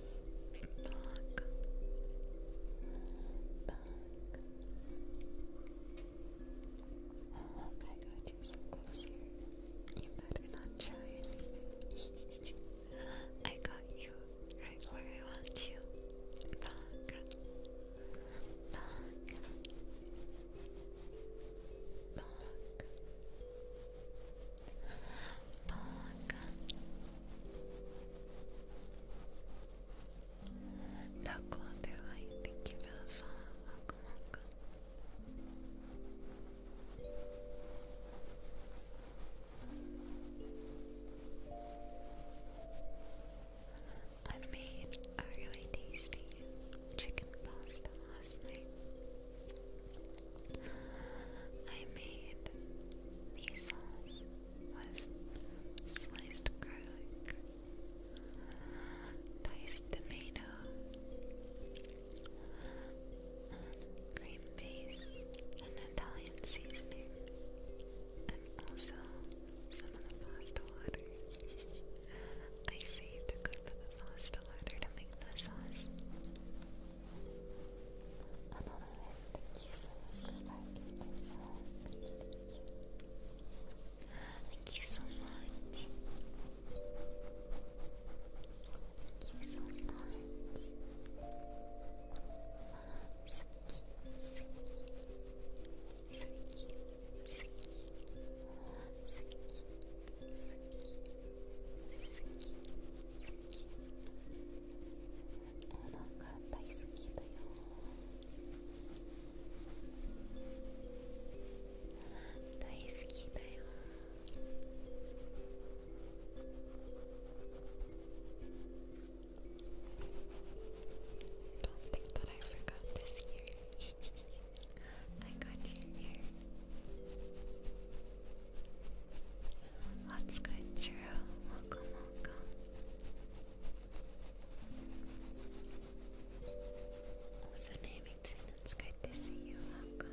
back, you I got you right where I want you thank you for the I made a really tasty chicken pasta last night. I made these sliced garlic, diced tomato, cream base, and Italian seasoning, and also some of the pasta water. I saved a bit of pasta water to make the sauce. Thank you so much Thank you, thank you. Thank you so much. Thank you so much. あなんか大好きだよ大好きだよ「Don't think that I forgot this year. I got you here. That's good, Churro? Welcome, welcome. Also, Namington, it's good to see you. Welcome.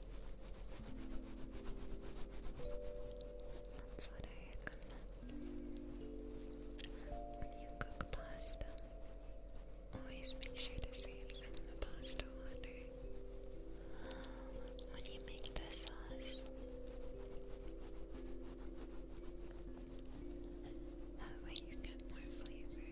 That's what I recommend. When you cook pasta, always make sure to save some of the pasta water. When you make the sauce, that way you get more flavor.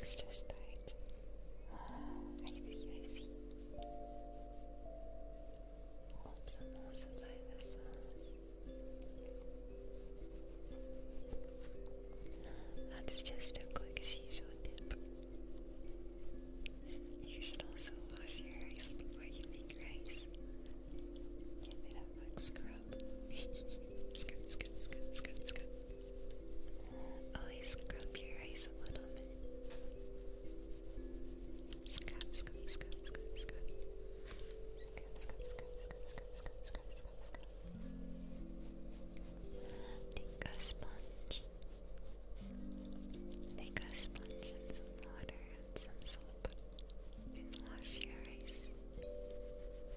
Extra tight. Ah, I see, I see. I'm not supplied the sauce. That's just a quick shisho tip. You should also wash your rice before you make rice. Give it a quick scrub scrub. scrub, scrub, scrub, scrub, scrub. Always scrub your eyes a little bit. Scrub, scrub, scrub, scrub, scrub. Scrub, scrub, scrub, scrub, scrub, scrub, scrub, scrub, scrub. Take a sponge. Take a sponge and some water and some soap and wash your eyes.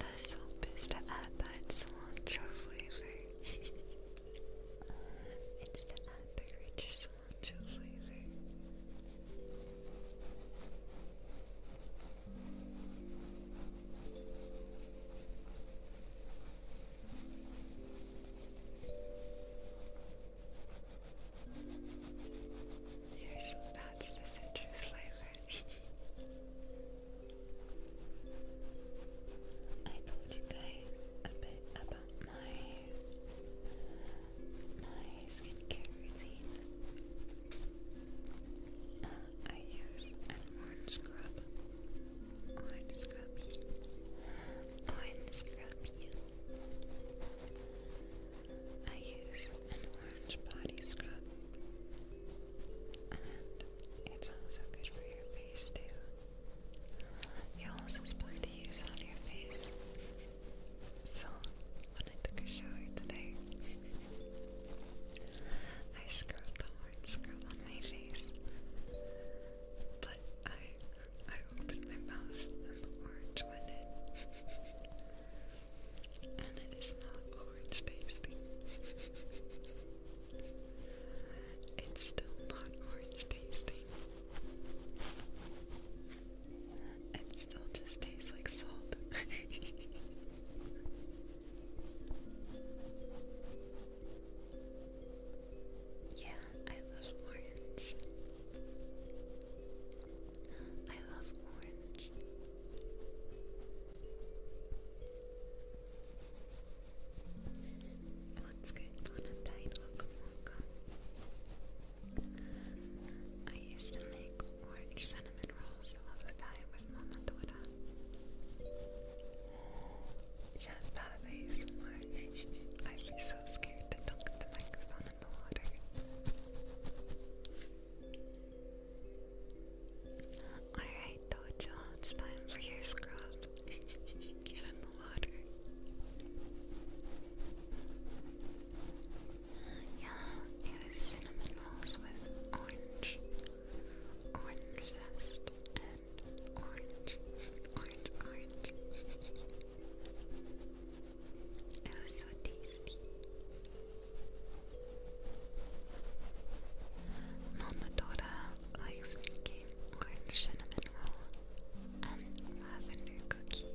The soap is to add that cilantro flavor. it's to add the rich cilantro flavor. Yes, that's the citrus flavor. I told you guys a bit about my my skincare routine. Uh, I use an orange scrub. Orange scrub. Orange scrub. I use an orange body scrub. And it's also good for your face too. You're also supposed to use on your face. So when I took a shower today, I scrubbed the orange scrub on my face. But I I opened my mouth and the orange went in. And it is not orange tasting. it's still not orange tasting. It still just tastes like salt. yeah, I love orange. I love orange. What's going on at Welcome, welcome. I used to make orange cinnamon rolls all the time with Mama Dora. Shut up, ASMR. I'd be so scared to talk at the microphone. Alright, Dojo, it's time for your scrub. Get in the water. Yeah, it was cinnamon rolls with orange, orange zest, and orange, orange, orange. It was likes making orange cinnamon roll and lavender cookie.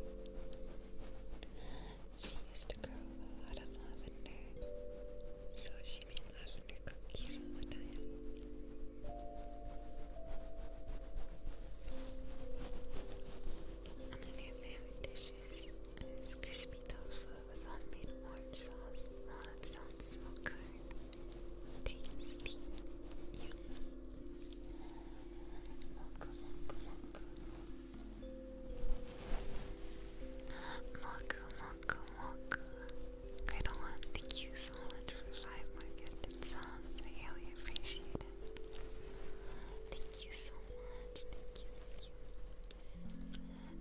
She used to grow a lot of lavender, so she made lavender cookies all the time. One favorite dishes sandwiches crispy tofu with homemade orange sauce. Oh, that sounds so good. Tasty. Yum. Moku, moku, moku. Moku, moku, moku. you so much for five market. It sounds really appreciate Thank you so much. Thank you, thank you.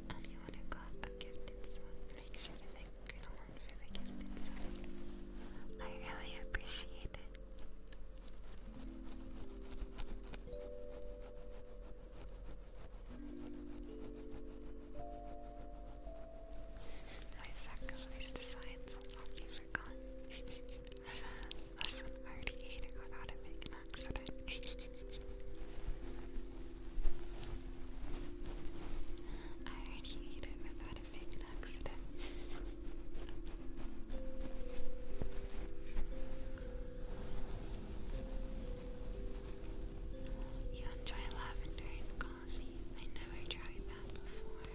Anyone who got a gift inside, thank you for the gift inside. I really appreciate it. I sacrificed science, I'll I already ate it without it being accident. I already ate it without it being an accident. You enjoy lavender and coffee. I never tried that before.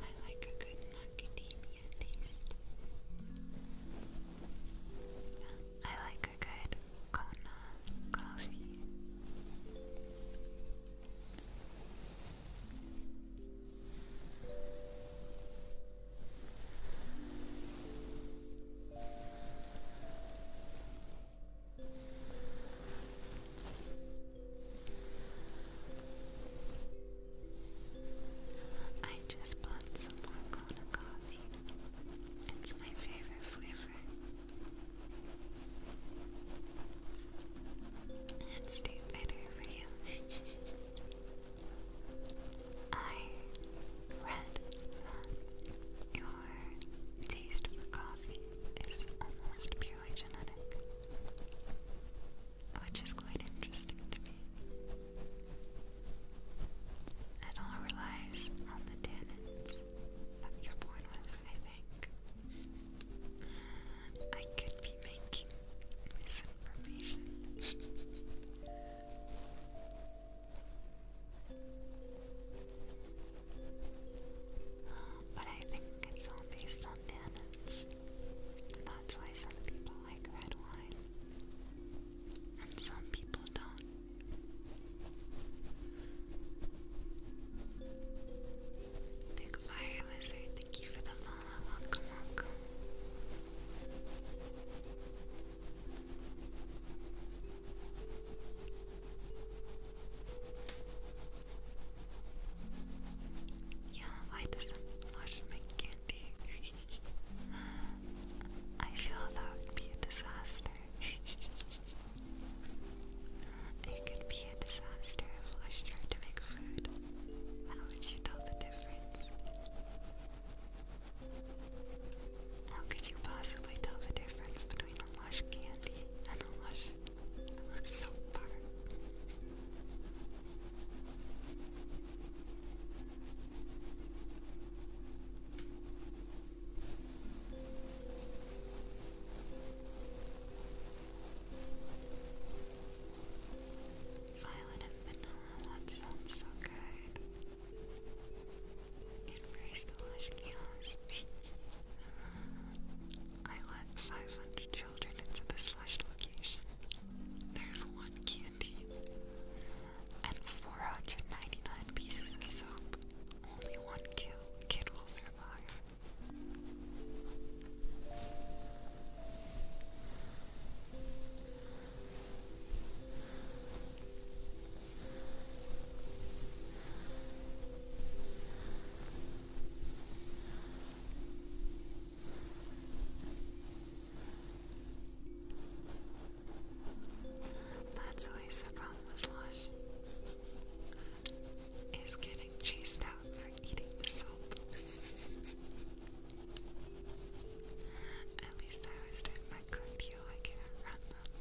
I like a good academia taste. I like a good Kona coffee. I just bought some more Kona coffee. It's my favorite flavor. It's too bitter for you. I read your taste for coffee is almost purely genetic, which is quite interesting to me. It all relies on the tannins that you're born with, I think. I could be making misinformation. But I think it's all based on tannins. That's why some people like red wine, and some people don't. Big Fire Lizard, thank you for the follow. Welcome, welcome. Yeah, why doesn't Lush make candy? I feel that would be a disaster. it could be a disaster if Lush tried to make food. How would you tell the difference? How could you possibly tell the difference between a lush candy and a lush soap bar? Violet and vanilla, that sounds so good. Embrace the lush chaos. I led 500 children into the location, there's one candy and 499 pieces of soap. Only one kill, kid will survive. That's always the problem with Lush. Is getting chased out for eating the soap. At least I was doing my good I can't run them.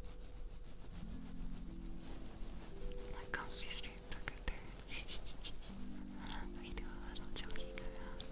My coffee stream took a turn. we do a little joking around.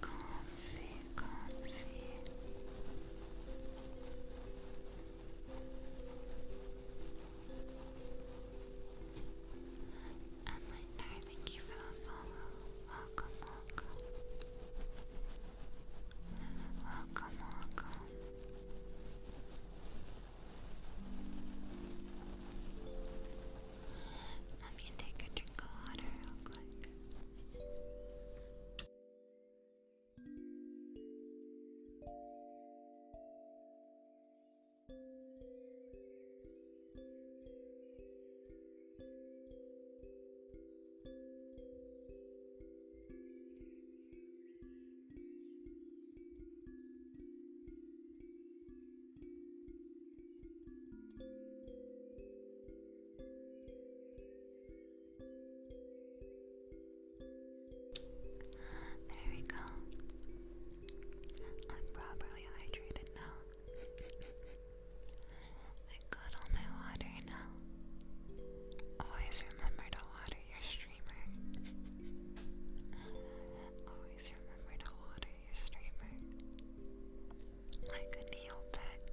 comfy, comfy. Emily, no, thank you for the follow. Welcome, welcome. Welcome, welcome. Let me take a drink of water real quick. There we go. I'm properly hydrated now. I got all my water now. Always remember to water your streamer. Always remember to water your streamer like a nail bed.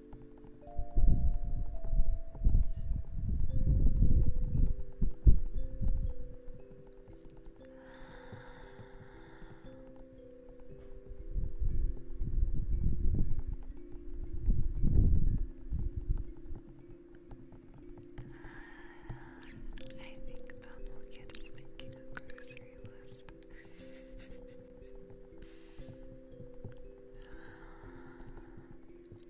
I think Bumble Kid is making a grocery list.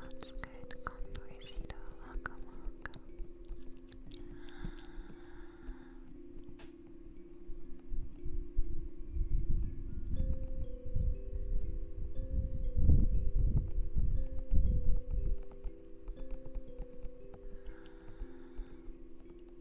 That's good, Condorcito. Welcome, welcome.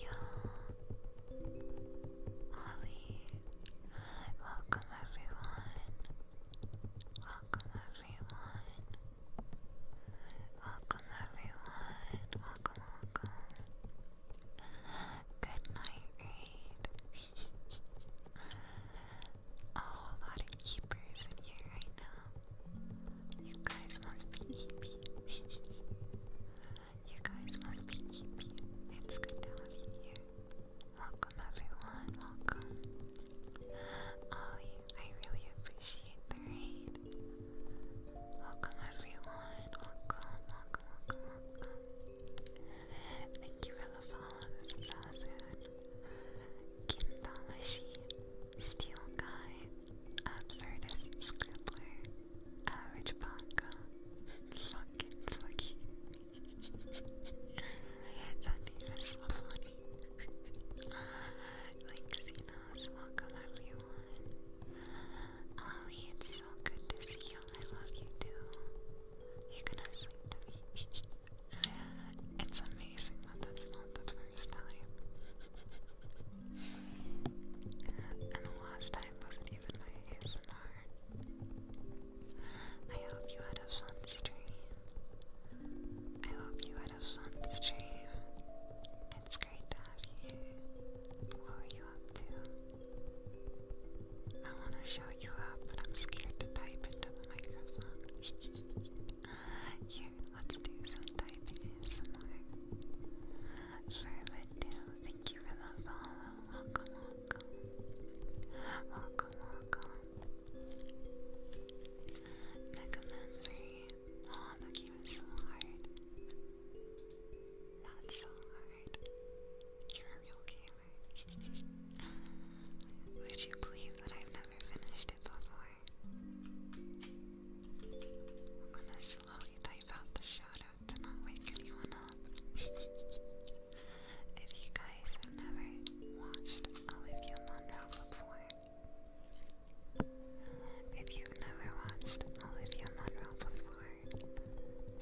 Yo, Ollie, welcome everyone. Welcome everyone. Welcome everyone. Welcome, welcome. Good night, Raid. oh, a lot of keepers here right now. You guys must be you guys must be It's good to have you Welcome everyone, welcome. Oh, I really appreciate the raid. Welcome everyone, welcome, welcome, welcome, welcome. Thank you for the follows, Blazin. Kim Damashi, Steel Guy, absurdist um, scribbler, average bunker, fucking lucky. that name is um, funny. Uh, like Xenos, welcome everyone. Ollie, it's so good to see you. I love you too. You're gonna sleep it's amazing that that's not the first time. And the last time wasn't even my ASMR. I hope you had a fun stream. I hope you had a fun stream. It's great to have you What were you up to? I want to show you up, but I'm scared to type into the microphone. yeah, Let's do some typing ASMR. Verbatil, thank you for the follow. Welcome, welcome. Welcome, welcome. Megamemory. Oh, that game is so hard. That's so hard. You're a real gamer. Would you believe that I've never finished it before? i to say slowly type the shout to not wake anyone up. if you guys have never watched Olivia Munro before, if you've never watched Olivia Munro before,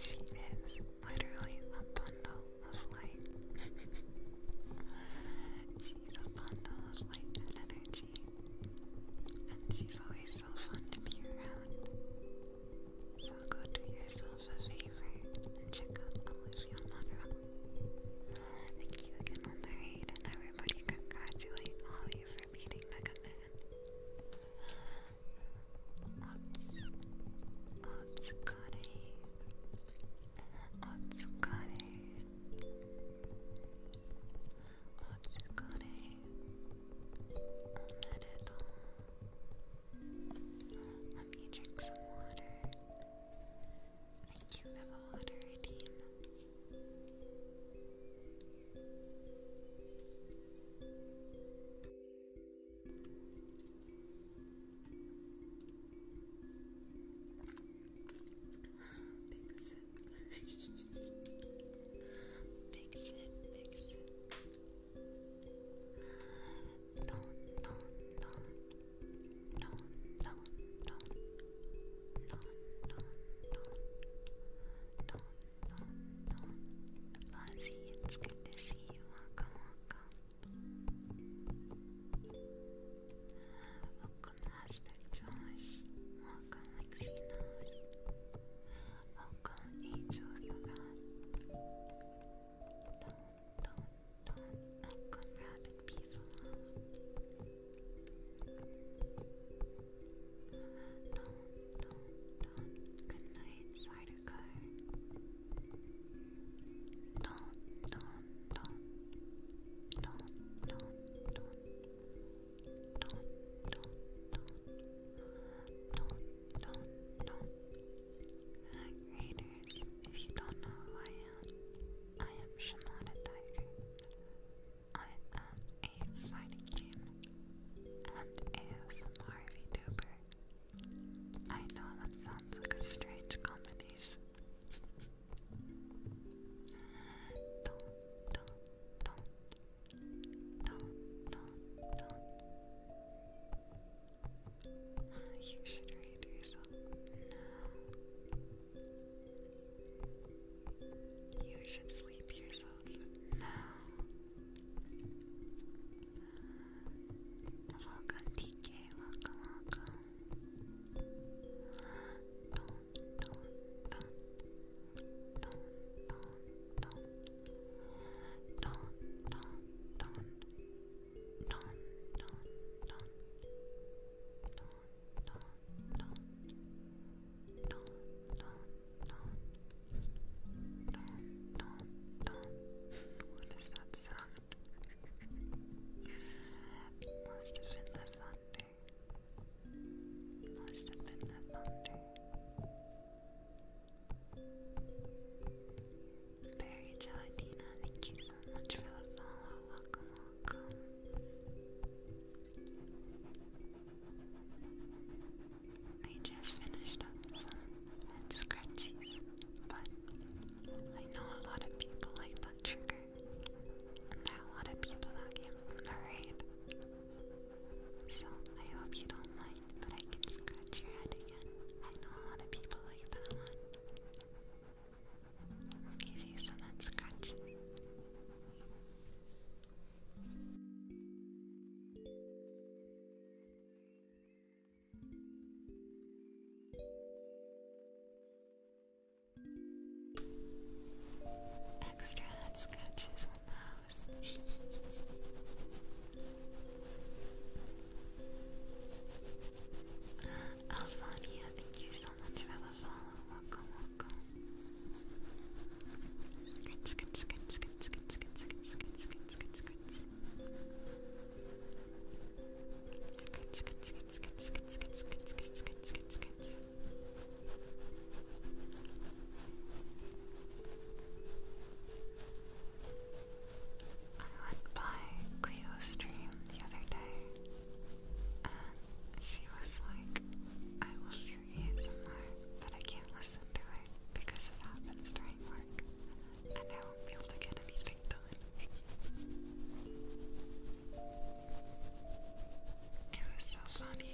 she is literally a bundle of light. She's a bundle of light and energy. And she's always so fun to be around. So go do yourself a favor and check out Olivia Monroe. Thank you again and everybody congratulate Ollie for beating the command. Otsukare. Otsukare. お疲れおめでとう Let me drink some water Thank you for the water, Fix it. fix it, fix it. No, no, no. No, no, no. No, no, no. No, no, no. it's good to see you. Welcome, welcome. Welcome, Josh. Welcome, Lexinos. I've Don't, don't, don't. Good night, Sardaukar. Don't, don't, don't. Don't, don't, don't don't, don't, don't. Raiders, if you don't know who I am, I am Shimada I am a fighting game and ASMR VTuber. I know that sounds like a strange combination. don't, don't, don't. Don't, don't, don't. You should read yourself. No. You should sleep yourself. No. Welcome, TK. Welcome, welcome. Don't what does that sound? Must have been the thunder. Must have thank you so much for the follow. Welcome, welcome. I just finished up some scratchies, but I know a lot of people like that trigger. And there are a lot of people that came from the so I hope you don't mind, but I can scratch your head again. I know a lot of people like that I'll give you some that scratch. Extra head scratches on Alfania, thank you so much for the Welcome, welcome. I went by Cleo's stream the other day, and she was like, I will shoot ASMR, but I can't listen to it because it happens during work, and I won't be able to get anything done. it was so funny.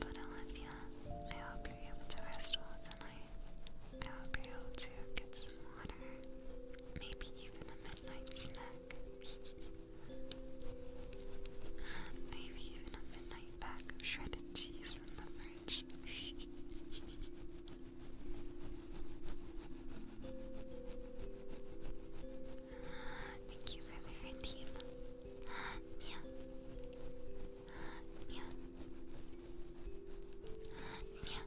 But Olivia, I hope you're able to rest well tonight. I hope you're able to get some more water, maybe even a midnight snack. maybe even a midnight pack shredded cheese from the fridge. Thank you for the routine. Yeah. Yeah. Yeah.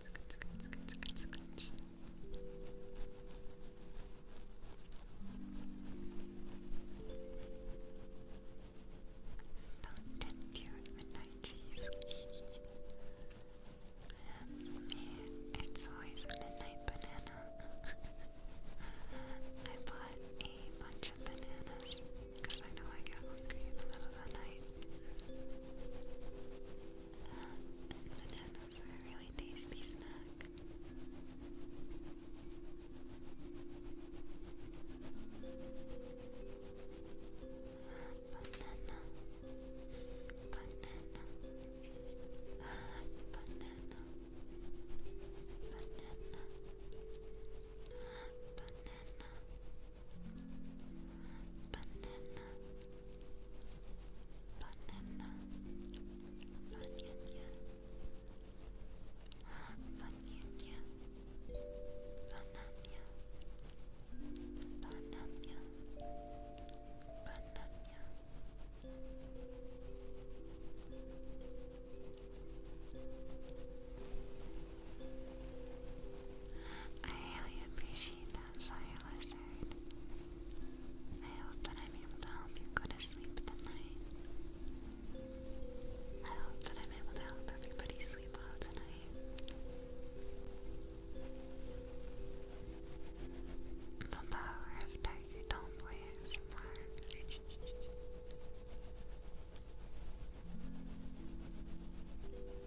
Don't you at midnight, jeez. Man, it's always midnight banana. I bought a bunch of bananas because I know I get hungry in the middle of the night. Bananas are a really tasty snack. Banana. Banana. Banana. Banana. Banana banana, banana, banana, banana, banana, banana, banana. I really appreciate appreciate that, Fire Lizard. I hope that I'm able to help you go to sleep tonight. I hope that I'm able to help everybody sleep well tonight. The power of Tiger Tomboy ASMR.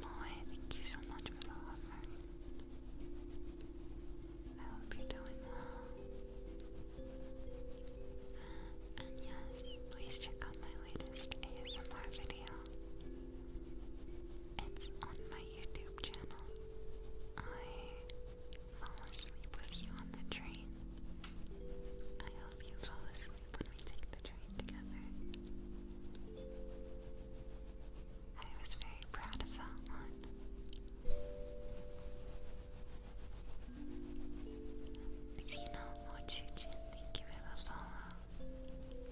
Moy, thank you so much for the offer. I hope you're doing well. And yes, please check out my latest ASMR video. It's on my YouTube channel. I fall asleep with you on the train. I hope you fall asleep when we take the I was very proud of that one. Zeno Mochichi, thank you for the follow.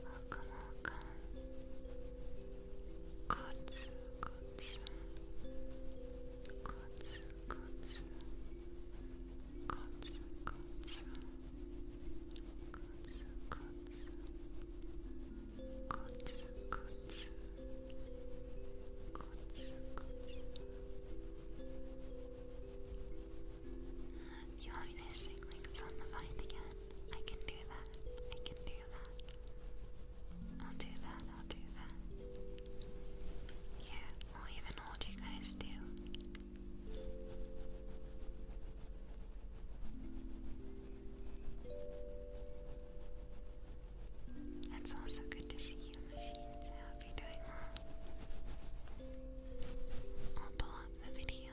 Welcome, welcome. Kotsu, kotsu. Kotsu, kotsu. Kotsu, kotsu. Kotsu, you want me to sing like on the vine again? I can do that. I can do that. I'll do that. I'll do that. Yeah, I'll even hold you guys too. It's also good to see you, machines. I hope you doing I'll pull up the video.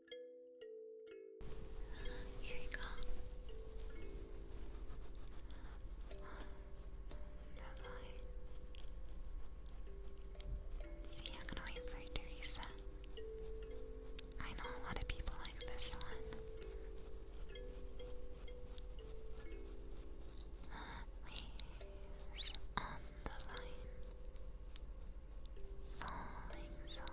Here you go. Never See, I'm gonna wait for Teresa. I know a lot of people like this one. Leaves on the vine falling so like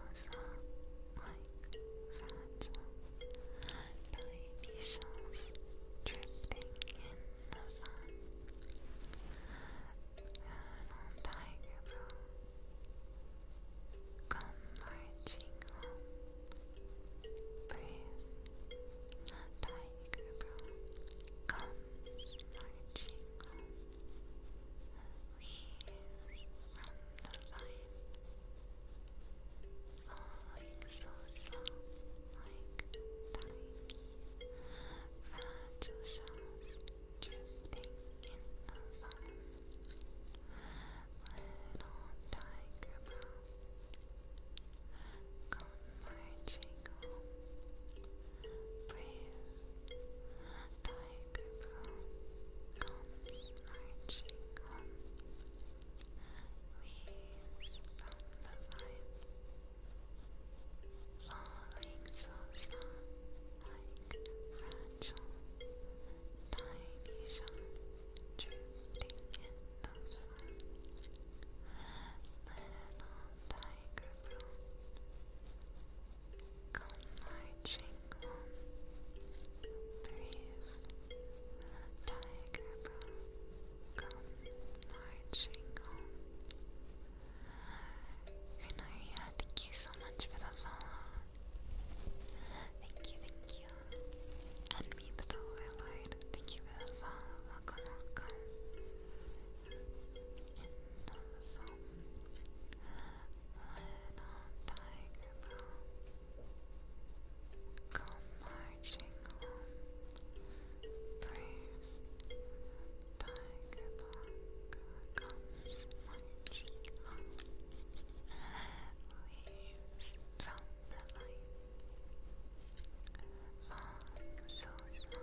fragile tiny drifting in the sun. Colonel Tiger Bell, come marching home, brave Tiger Bell comes marching home. Please from the vine, falling so like tiny fragile shells drifting in the vine. Little tiger brown, come marching brave Thai comes marching home. Leaves from the vine, falling so soft like fragile tiny shards drifting in the tiger broom. Come marching home, brave tiger bro. Come marching home. I know you Thank you so much for the follow. Thank you, thank you. And me, but the highlight. Thank you for the follow. Welcome, welcome. Come marching on, brave tiger bark comes marching on, waves from the light, long so slow,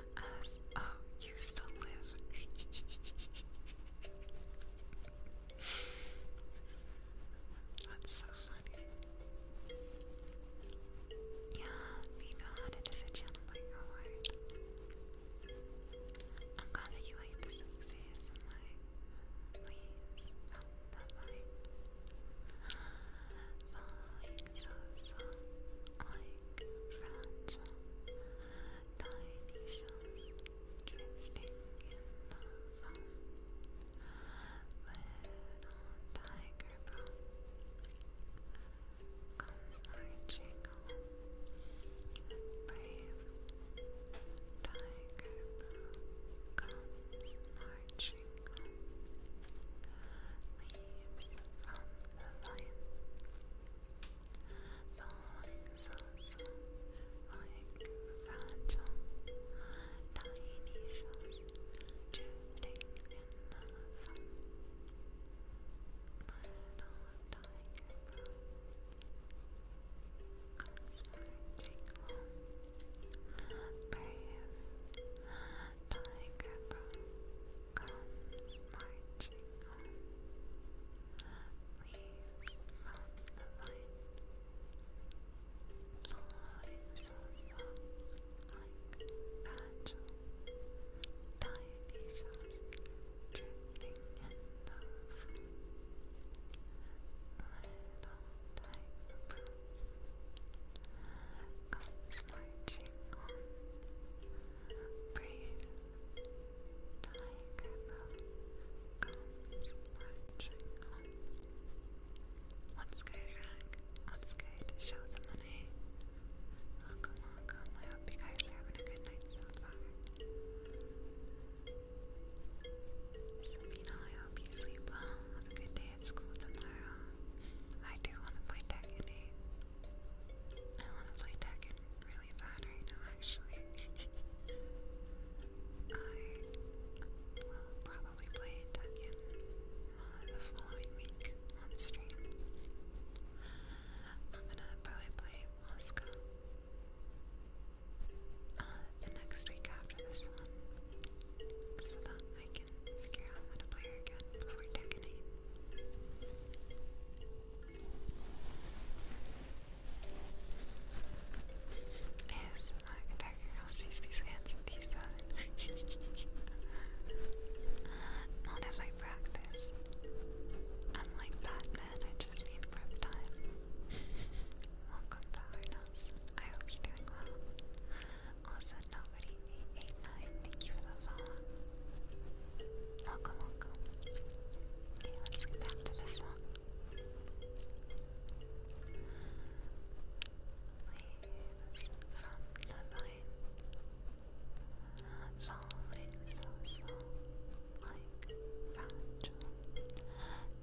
S-O used to live. That's so funny. Yeah, we got it as a channel I'm glad that you like this week's ASMR. Please help that light fragile tiny drifting in the foam. Little tiger bone comes marching home. Brave tiger bone comes marching home. Leaves from the vine falling so soft, like fragile tiny shells drifting in the sun. Little tiger bro, comes marching home. Brave tiger comes marching home, leaves from the light, flies also like fragile tiny shells drifting in the flame. Little marching on, Breathe, diagonal comes marching Let's go, Jack. Let's go to show the money. Welcome, welcome. I hope you guys are having a good night so far. Sabina, I hope you sleep well. Have a good day at school tomorrow. I do want to play Tekken 8. I want to play Tekken really really bad right now, actually. I will probably play Tekken the following week on stream. I'm gonna probably play Moscow uh, the next week after this one, so that I can figure out how to play her again before Tekken is my attacker girl sees these hands and teeth Not if I practice. I'm like Batman, I just need prep time. Welcome back, Nelson. I hope you're doing well. Also, nobody 889, thank you for the follow. Welcome, welcome. Okay, back to this one. from the line. Falling so, so, like fragile,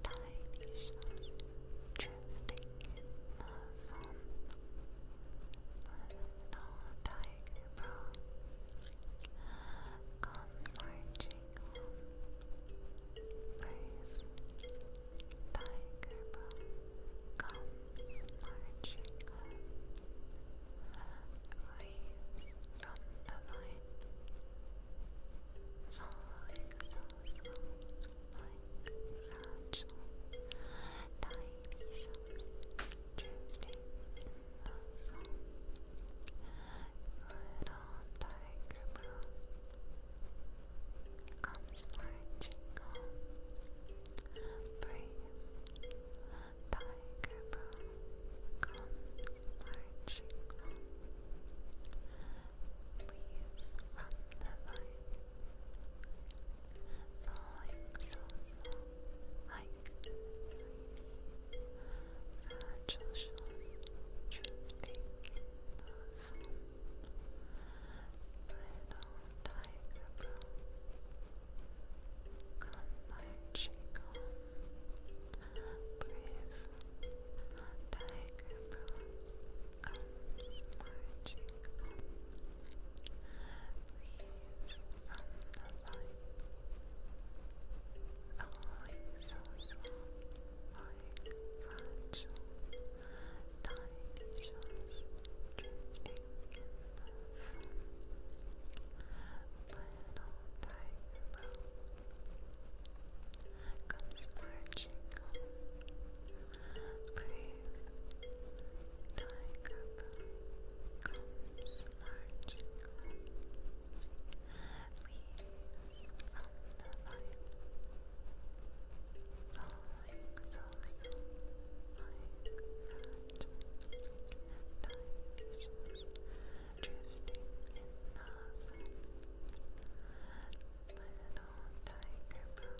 tiny shells drifting in tiger prawn comes marching home. Brave tiger comes marching home. Leaves from the vine, so slow fragile tiny shells drifting little tiger comes marching home. Brave tiger comes marching home. Please from the line, falling so fragile shells drifting in Little tiger bro, on my brave tiger bro, comes marching on the light. All is also like fragile, tiny shells drifting in the foam. Little comes marching Brave Tiger Boo comes is largely leaves from the vine, falling so soon like magic, dimensions drifting in the sun. Little tiger come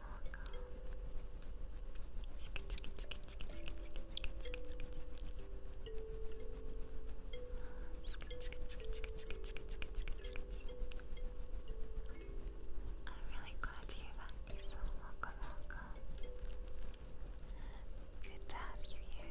I'm really glad to hear that, Welcome, welcome. Good to have you here.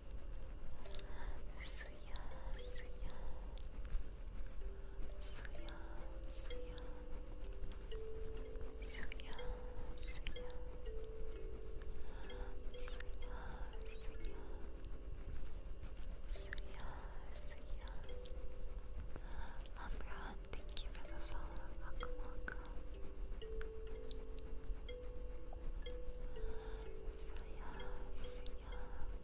Suya, suya, suya, suya, suya, suya, suya, suya, Amran, thank you for the follow. Welcome, Suya, suya.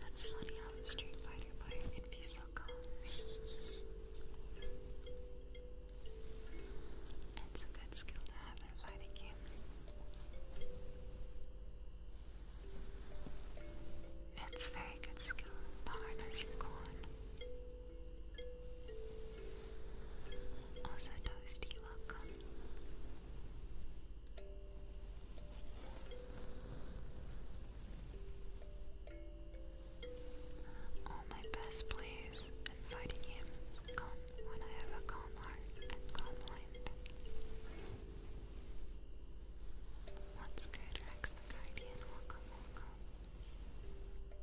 That's funny how the Street Fighter player can be so calm. it's a good skill to have in fighting games. It's very good skill, not unless you're also, Toasty, welcome. All my best plays and fighting games when I have a calm heart and calm mind. What's good, Rex Welcome, welcome.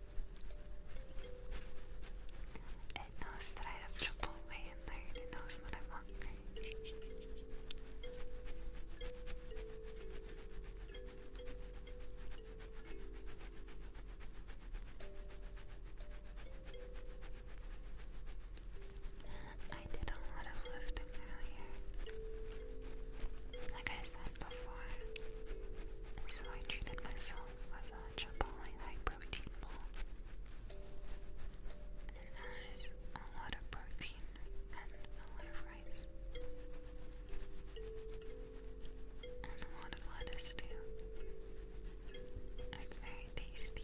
It knows that I have Chipotle in it knows that I'm I did a lot of lifting earlier. Like I said before, so I treated myself myself with a Chipotle high protein bowl. It has a lot of protein and a lot of rice. And a lot of lettuce too. It's very tasty.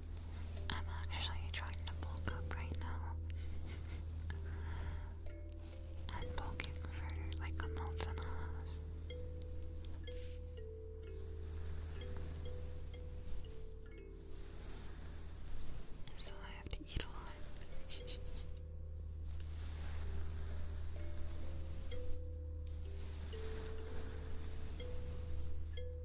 I'm actually trying to bulk up right now. I'm bulking for like a month and a half. So I have to eat a lot.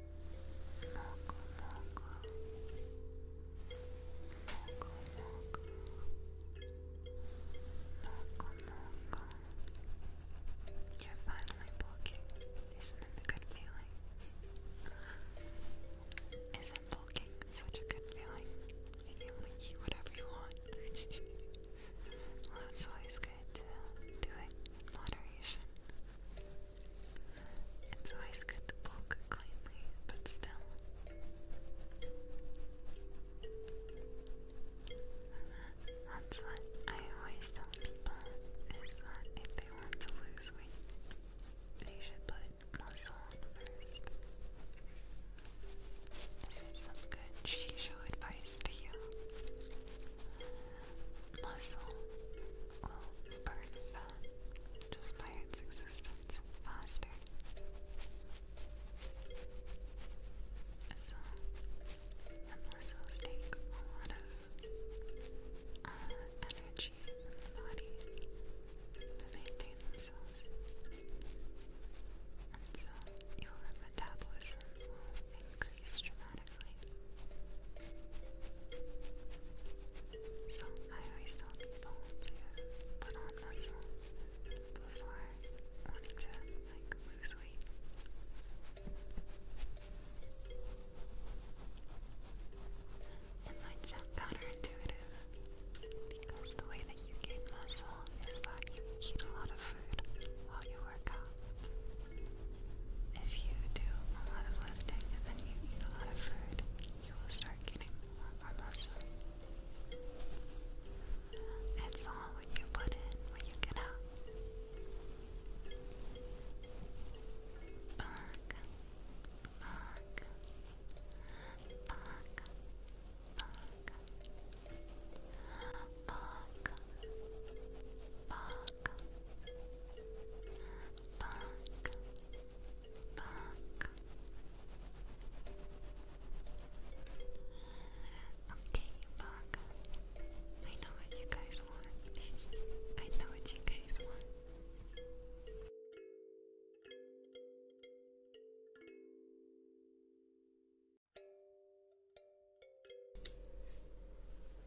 You're finally bulking. Isn't it a good feeling? Isn't bulking such a good feeling? You feel like whatever you want. well, always good do it in moderation. It's always good to bulk cleanly, but still. That's what I always tell people is that if they want to lose weight, they should put muscle first. This is some good shisho advice to you. Muscle will burn fat just by its existence faster. So, muscles take a lot of uh, energy from the body to maintain themselves. And so, your metabolism will increase dramatically. So I always tell people to put on muscle before wanting to like lose weight. It might sound counterintuitive because the way that you gain muscle is that you eat a lot of food while you work out. If you do a lot of lifting and then you eat a lot of food, you will start getting more muscle. It's all what you put in, what you get out back, Okay, back. I know what you guys want. I know what you guys want.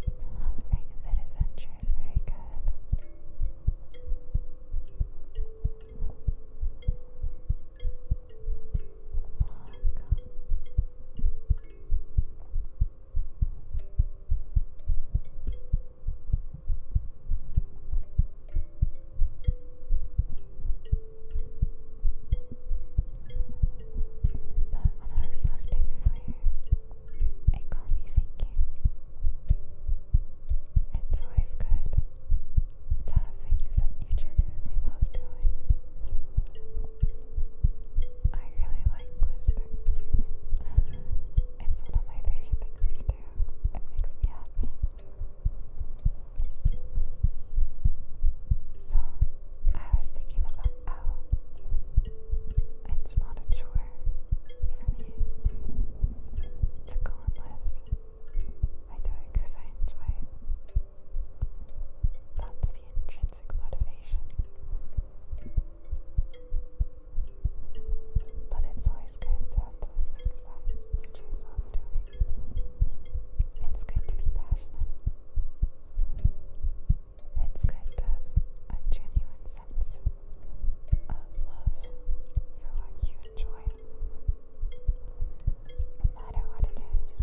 Very good adventures, very good. But when I was lifting earlier, it got me thinking. It's always good to have things that you genuinely love doing. I really like lifting. it's one of my favorite things to do. It makes me happy. So, I was thinking about how oh, it's not a chore for me to go and lift. I do it because I enjoy it. That's the intrinsic motivation. But it's always good to have those things that you choose off doing. It's good to be passionate it's good to have a genuine sense of love for what you enjoy, no matter what it is.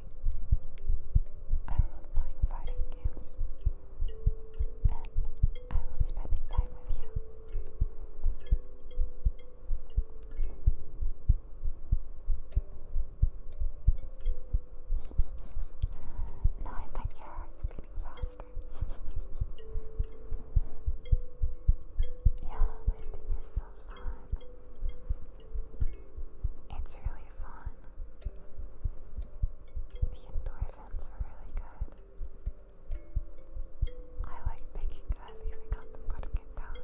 I love playing fighting games. And I love spending time with you. now I bet your heart's beating yeah, lifting is so fun. It's really fun. The endorphins are really good. I like picking up if I got them cutting it down.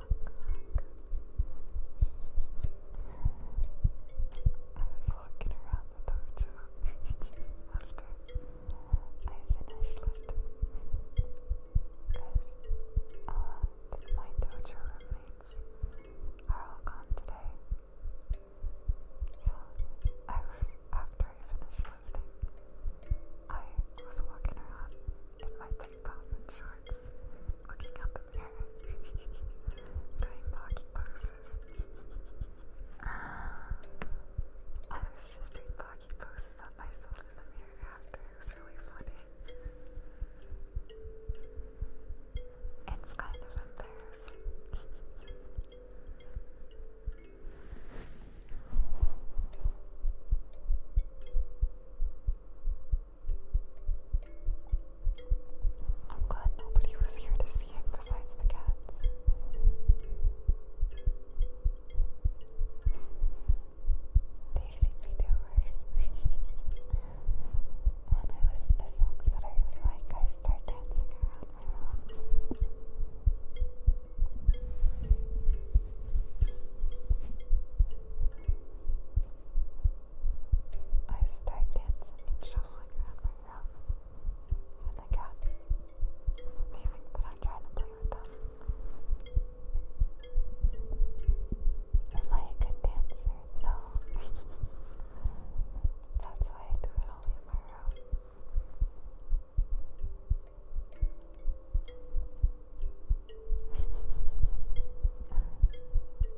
was walking around the dojo after I finished it. Because my dojo roommates are all gone today. So after I finished lifting, I was walking around in my tank top and shorts, looking at the doing pocket poses. I was just doing pocket poses on myself in the mirror really funny. It's kind of embarrassing. I'm glad nobody was here to see it besides the cats. They seem to do worse. when I listen to songs that I really like, I start dancing around my room. I start dancing and shuffling around my room, and the cats, they that I'm trying to play with them. Am I a good dancer? No. That's why I do it only in my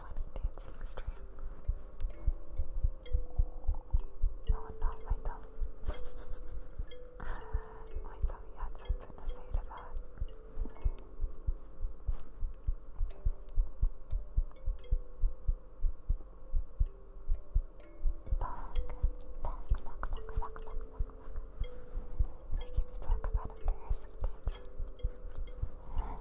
funny dancing stream. my tummy. my tummy had something to say to that. Talk, talk, talk, talk, talk, about embarrassing dancing. Talk.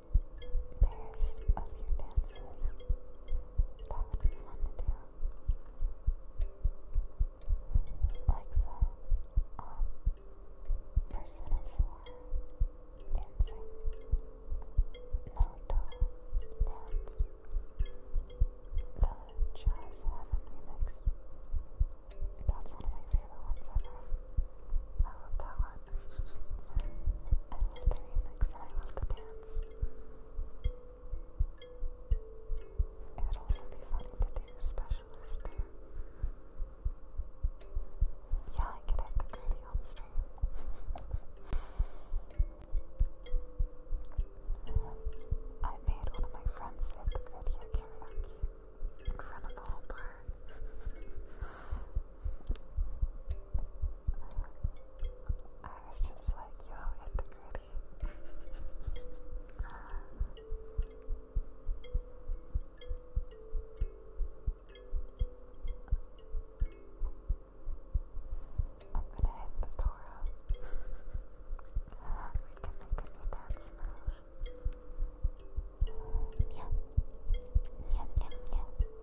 pairs of your dances. That would be fun to do. Like the um, Persona 4 dancing. Naruto dance. The Jazz Heaven remix. That's one of my favorite ones ever. I love that one the dance. It would also be funny to do specialist Yeah, I can hit the gritty on stream. I made one of my friends hit the gritty at in front of the bar. I was just like, yo, hit the gritty. I'm gonna hit the Torah. we can make a dance move. Yeah. Yeah, yeah, yeah.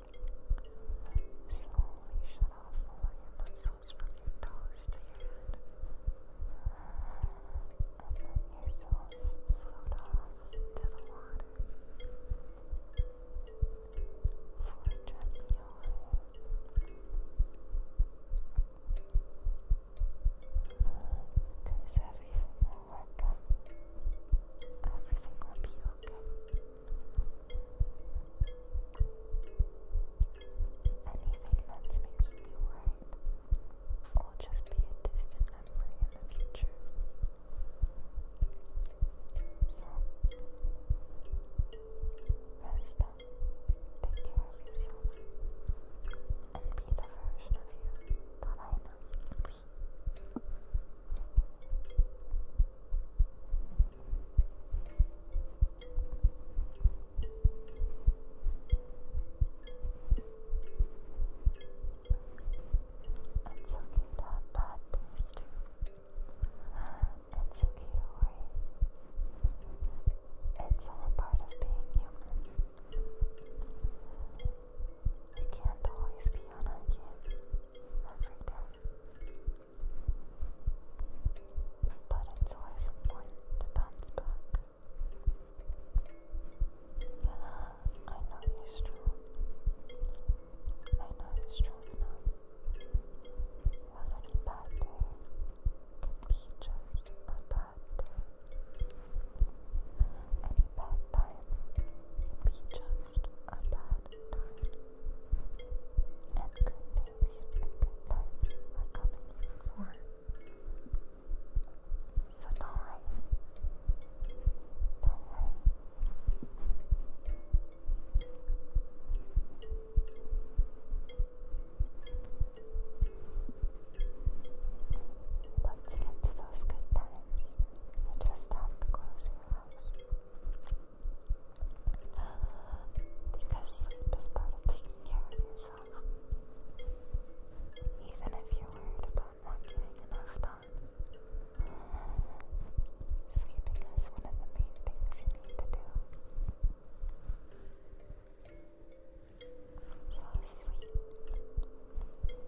Slowly shut off all your muscles from your toes to your head. And let yourself float off to the water. Float gently away. everything will work out. Everything will be okay. Anything that's making you worried will just be a distant memory in the future. So, rest up, take care of yourself, and be the version of you that I know you can be. It's okay to have bad things It's okay to worry. It's all part of being human. We can't always be on our game every day. But it's always important to bounce back. Yeah, I know you're strong. I know you're strong enough. A bad day can be just a bad day. Any bad time can be just a bad time. And good images sometimes Let's get to those good times. I just have to close your house. Because sleep is part of taking care of yourself. Even if you're worried about not getting enough done, sleeping is one of the main things you need to do. So sleep. Float off into dreamland.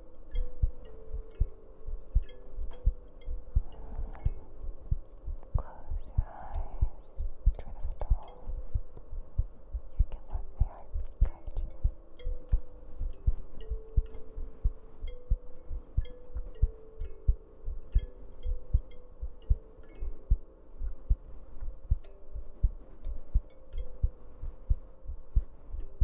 Close your eyes. Try to fall. You can let me guide you. Relax.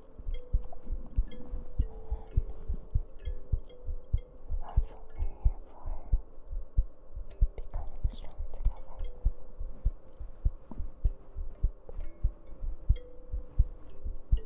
That's what here for. Becoming strong together. Tuna, tuna, tuna.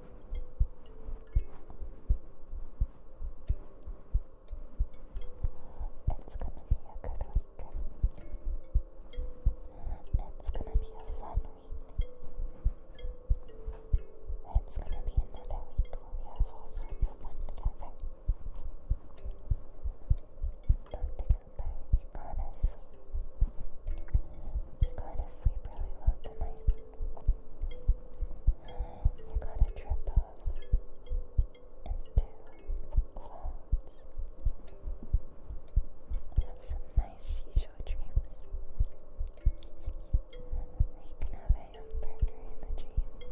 It's gonna be a good week. It's gonna be a fun week. It's gonna be another week where we have all sorts Don't think about it, you to sleep. You to sleep really well tonight. You got a trip of two clowns. Have some nice shisho dreams. You can have a hamburger in the dream.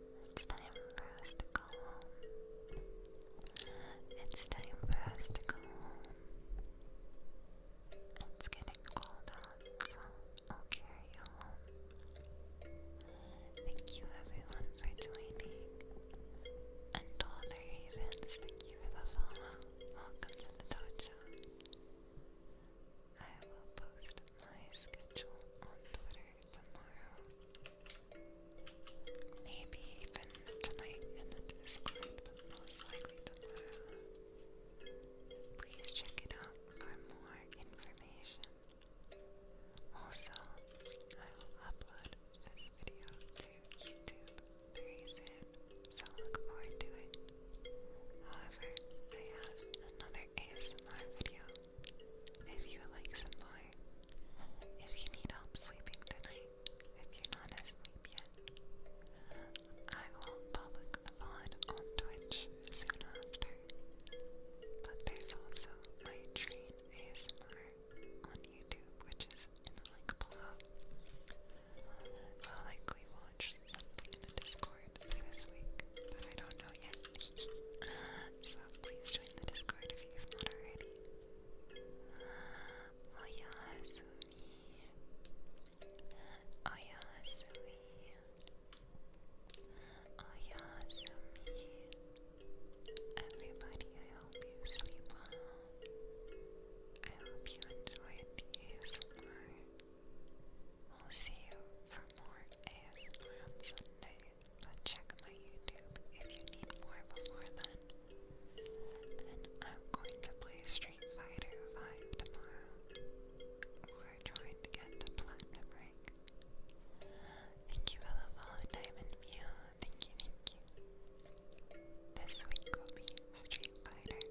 It's time for us to go home. It's time for us to go home. It's getting cold out, I'll carry you home. Thank you everyone for joining. And all the thank you for the follow. Welcome to the dojo. I will post my schedule on Twitter tomorrow. Maybe even tonight in the Discord, most likely tomorrow. Please check it out for more information. Also, I will upload this video to YouTube very soon, it. However, I have another ASMR video if you like some If you need help sleeping tonight, if you're not asleep yet, I will public the VOD on Twitch soon after. But there's also my train ASMR on YouTube, which is in the link below. I'll likely something in the Discord this week, but I don't know yet. so please join the Discord if you have not already. Oyasumi. Oyasumi. Oyasumi. Everybody, I hope you sleep well. I hope you enjoyed ASMR. We'll see you for more ASMR on Sunday but check my YouTube if you need more before I'm going to play Street Fighter 5 tomorrow. We're trying to get to Platinum Rank. Thank you for the follow, Diamond View. Thank you, thank you. This week will be Street Fighter.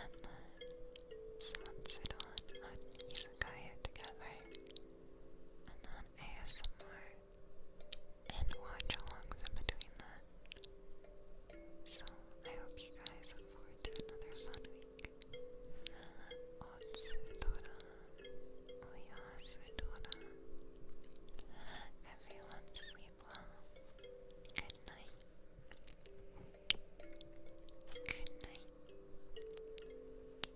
And then Satsudan and Izakaya together and then ASMR and watch alongs in between that. So I hope you guys look forward to another fun week. Otsutora, Oyasutora. Everyone sleep well. Good night. Good night.